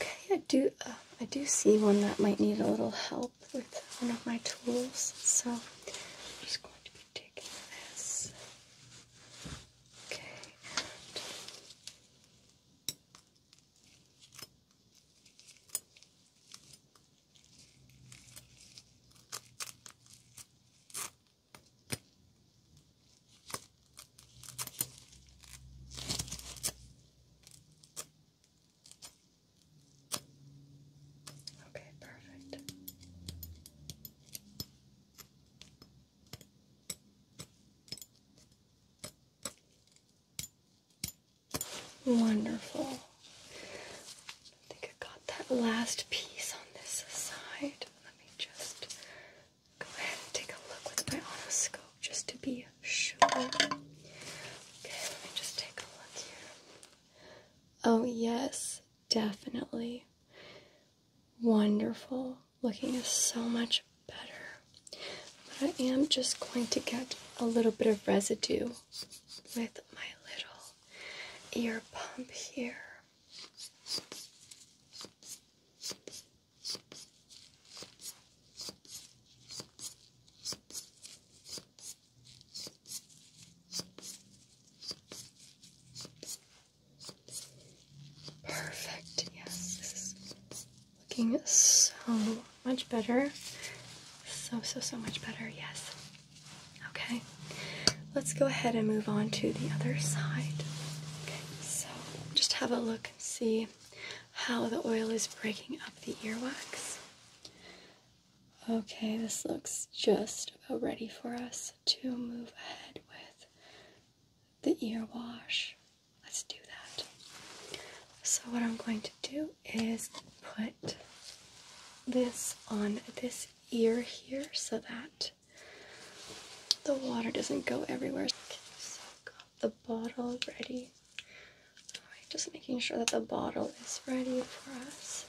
Okay, I do uh, I do see one that might need a little help with one of my tools, so I'm just going to be taking this. Okay, Okay, perfect. Wonderful. I think I got that last piece on this side. Let me just go ahead and take a look with my otoscope just to be sure. Okay, let me just take a look here. Oh, yes, definitely. Wonderful. Looking so much better. I am just going to get a little bit of residue with my little ear pump here. Perfect. Yes, this is looking so much better. So, so, so much better. Yes. Okay, let's go ahead and move on to the other side. Okay, so just have a look and see how the oil is breaking up the earwax. Okay, this looks just about ready for us to move ahead with the ear wash. Let's do that. So, what I'm going to do is put this on this ear here so that the water doesn't go everywhere. Okay, so got the bottle ready. just making sure that the bottle is ready for us.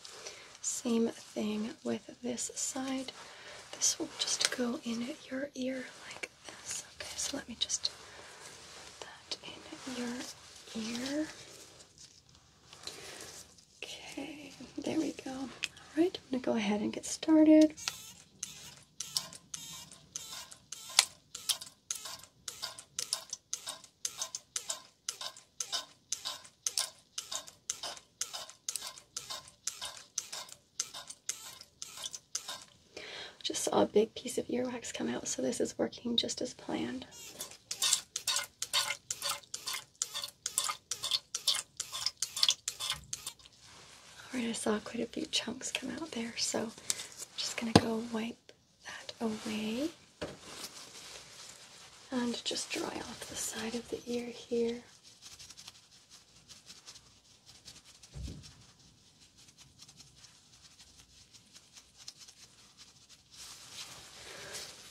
Same thing with this side. This will just go in your ear like this. Okay, so let me just put that in your ear. Okay, there we go. All right, I'm gonna go ahead and get started. Just saw a big piece of earwax come out, so this is working just as planned. Alright, I saw quite a few chunks come out there, so I'm just going to go wipe that away and just dry off the side of the ear here.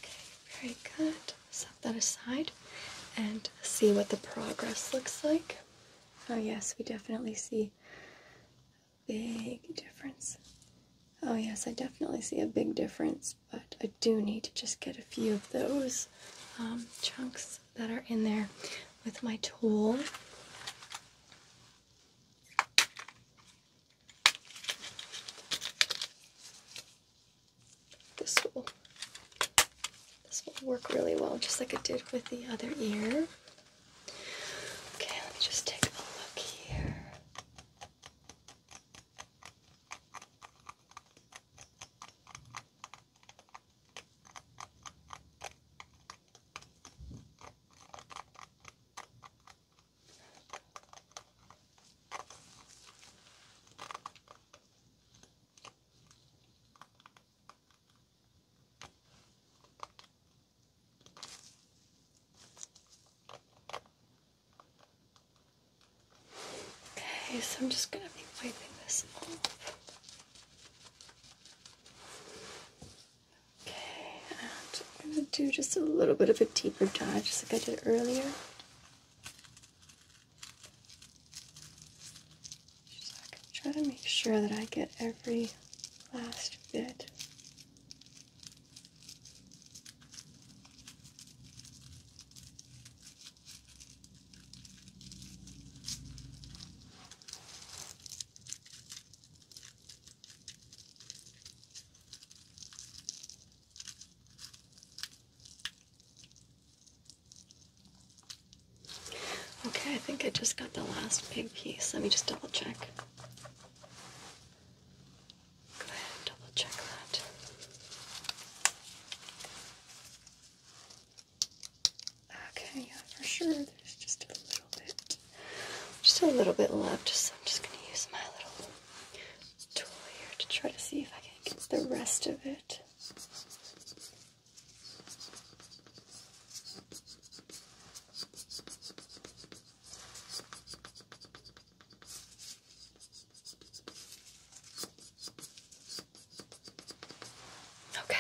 Okay, very good. Set that aside and see what the progress looks like. Oh, yes, we definitely see a big difference. Oh, yes, I definitely see a big difference, but I do need to just get a few of those um, chunks that are in there with my tool this will this will work really well, just like it did with the other ear. Okay, let me just take a look here. Okay, so I'm just going to be wiping this off. Okay, and I'm going to do just a little bit of a deeper dive, just like I did earlier. Just so I can try to make sure that I get every last bit. Okay, I think I just got the last big piece. Let me just double check. Go ahead and double check that. Okay, yeah, for sure. There's just a little bit, just a little bit left. So I'm just going to use my little tool here to try to see if I can the rest of it. Okay,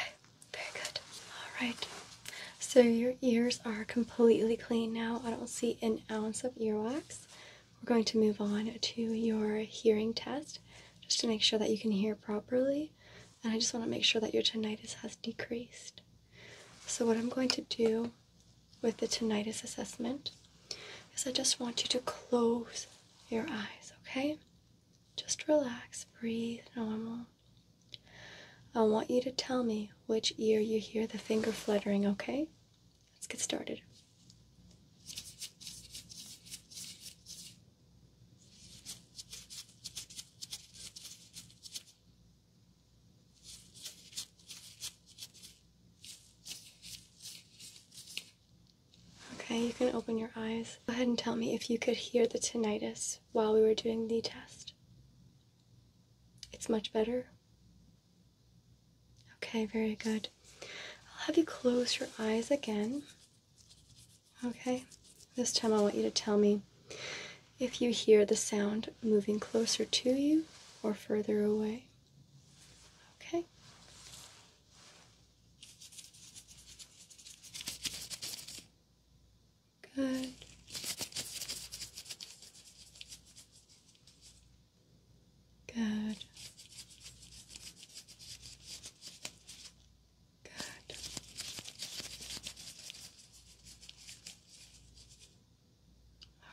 very good. All right. So your ears are completely clean now. I don't see an ounce of earwax we're going to move on to your hearing test just to make sure that you can hear properly. And I just want to make sure that your tinnitus has decreased. So, what I'm going to do with the tinnitus assessment is I just want you to close your eyes, okay? Just relax, breathe normal. I want you to tell me which ear you hear the finger fluttering, okay? Let's get started. Okay, you can open your eyes. Go ahead and tell me if you could hear the tinnitus while we were doing the test. It's much better. Okay, very good. I'll have you close your eyes again. Okay, this time I want you to tell me if you hear the sound moving closer to you or further away. Okay. Good. Good. Good.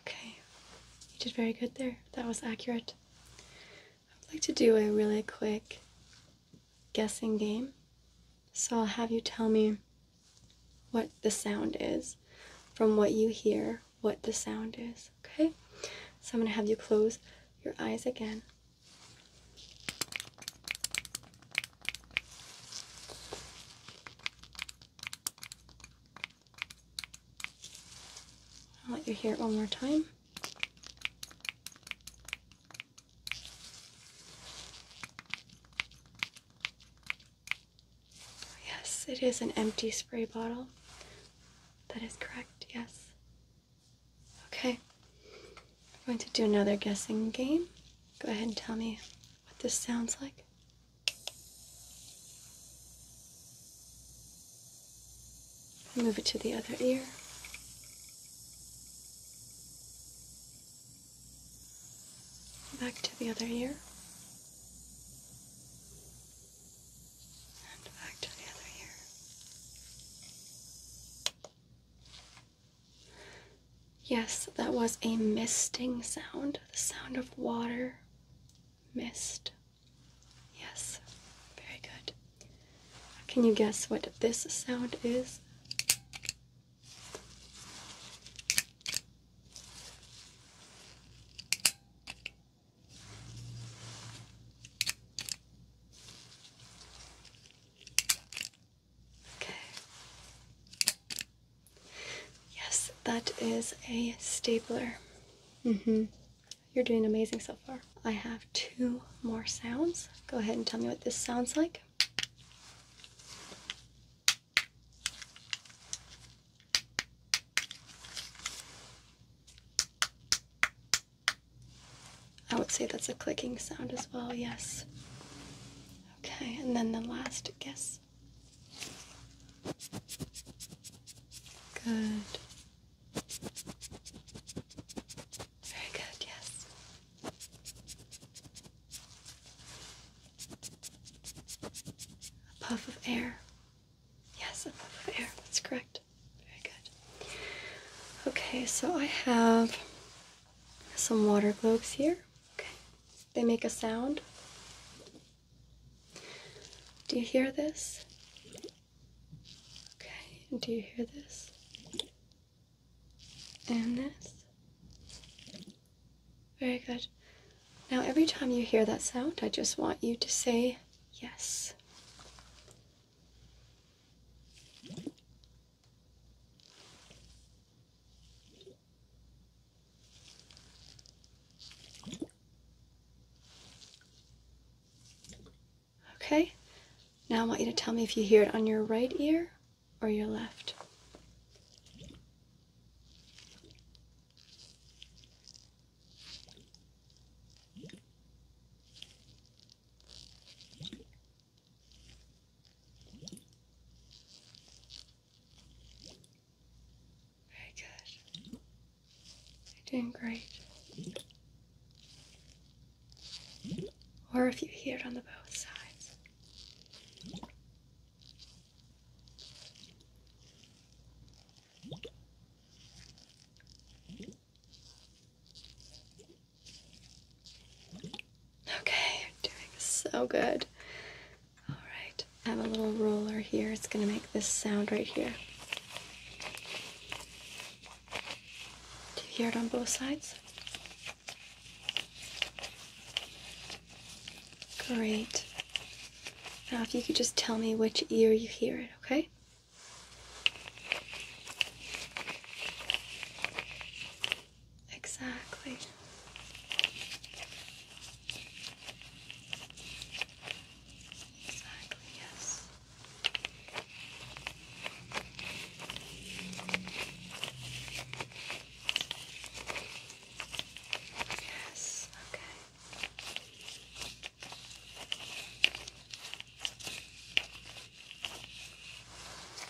Okay, you did very good there. That was accurate. I'd like to do a really quick guessing game. So I'll have you tell me what the sound is from what you hear what the sound is, okay? So I'm going to have you close your eyes again. I'll let you hear it one more time. Yes, it is an empty spray bottle. That is correct, yes. Okay. We're going to do another guessing game. Go ahead and tell me what this sounds like. Move it to the other ear. Back to the other ear. Yes, that was a misting sound, the sound of water mist. Yes, very good. Can you guess what this sound is? Okay. Yes, that is a stapler. Mm-hmm. You're doing amazing so far. I have two more sounds. Go ahead and tell me what this sounds like. I would say that's a clicking sound as well, yes. Okay, and then the last guess. Good. Very good, yes. A puff of air. Yes, a puff of air, that's correct. Very good. Okay, so I have some water globes here. Okay. They make a sound. Do you hear this? Okay. Do you hear this? And this? Very good. Now, every time you hear that sound, I just want you to say yes. Okay, now I want you to tell me if you hear it on your right ear or your left. Very good. You're doing great. Or if you hear it on the both sides. Okay, you're doing so good. All right, I have a little roller here. It's going to make this sound right here. Do you hear it on both sides? Great. Now, if you could just tell me which ear you hear it, okay? Exactly. Exactly, yes. Yes, okay.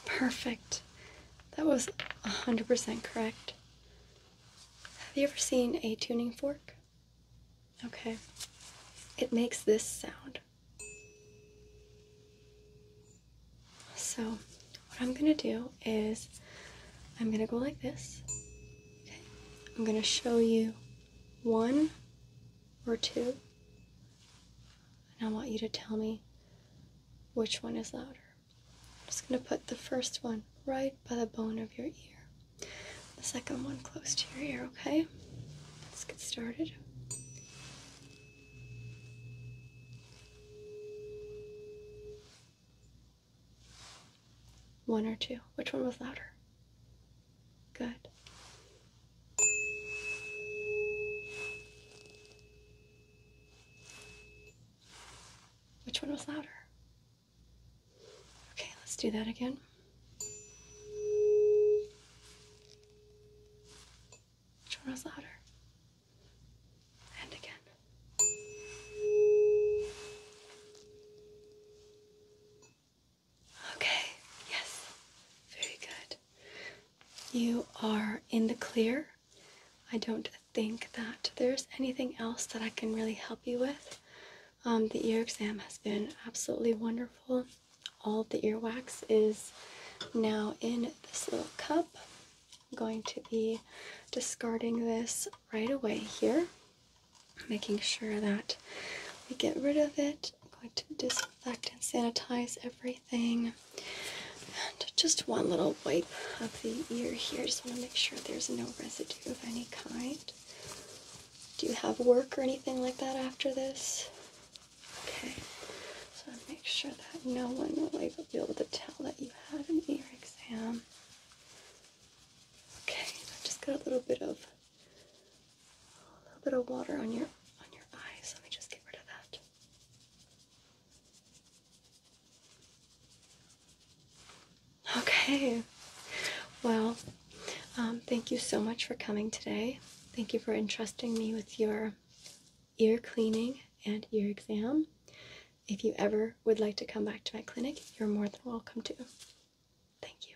Perfect. That was 100% correct. Have you ever seen a tuning fork? Okay. It makes this sound. So, what I'm gonna do is I'm gonna go like this. Okay. I'm gonna show you one, or two. And I want you to tell me which one is louder. I'm just going to put the first one right by the bone of your ear, the second one close to your ear, okay? Let's get started. One or two? Which one was louder? Good. Which one was louder? Okay, let's do that again. Which one was louder? And again. Okay, yes, very good. You are in the clear. I don't think that there's anything else that I can really help you with. Um, the ear exam has been absolutely wonderful. All the ear wax is now in this little cup. I'm going to be discarding this right away here making sure that we get rid of it. I'm going to disinfect and sanitize everything. And just one little wipe of the ear here. Just want to make sure there's no residue of any kind. Do you have work or anything like that after this? Okay. So make sure that no one will ever be able to tell that you had an ear exam. Okay, I've just got a little bit of a little bit of water on your on your eyes. Let me just get rid of that. Okay. Well, um, thank you so much for coming today. Thank you for entrusting me with your ear cleaning and ear exam. If you ever would like to come back to my clinic, you're more than welcome to. Thank you.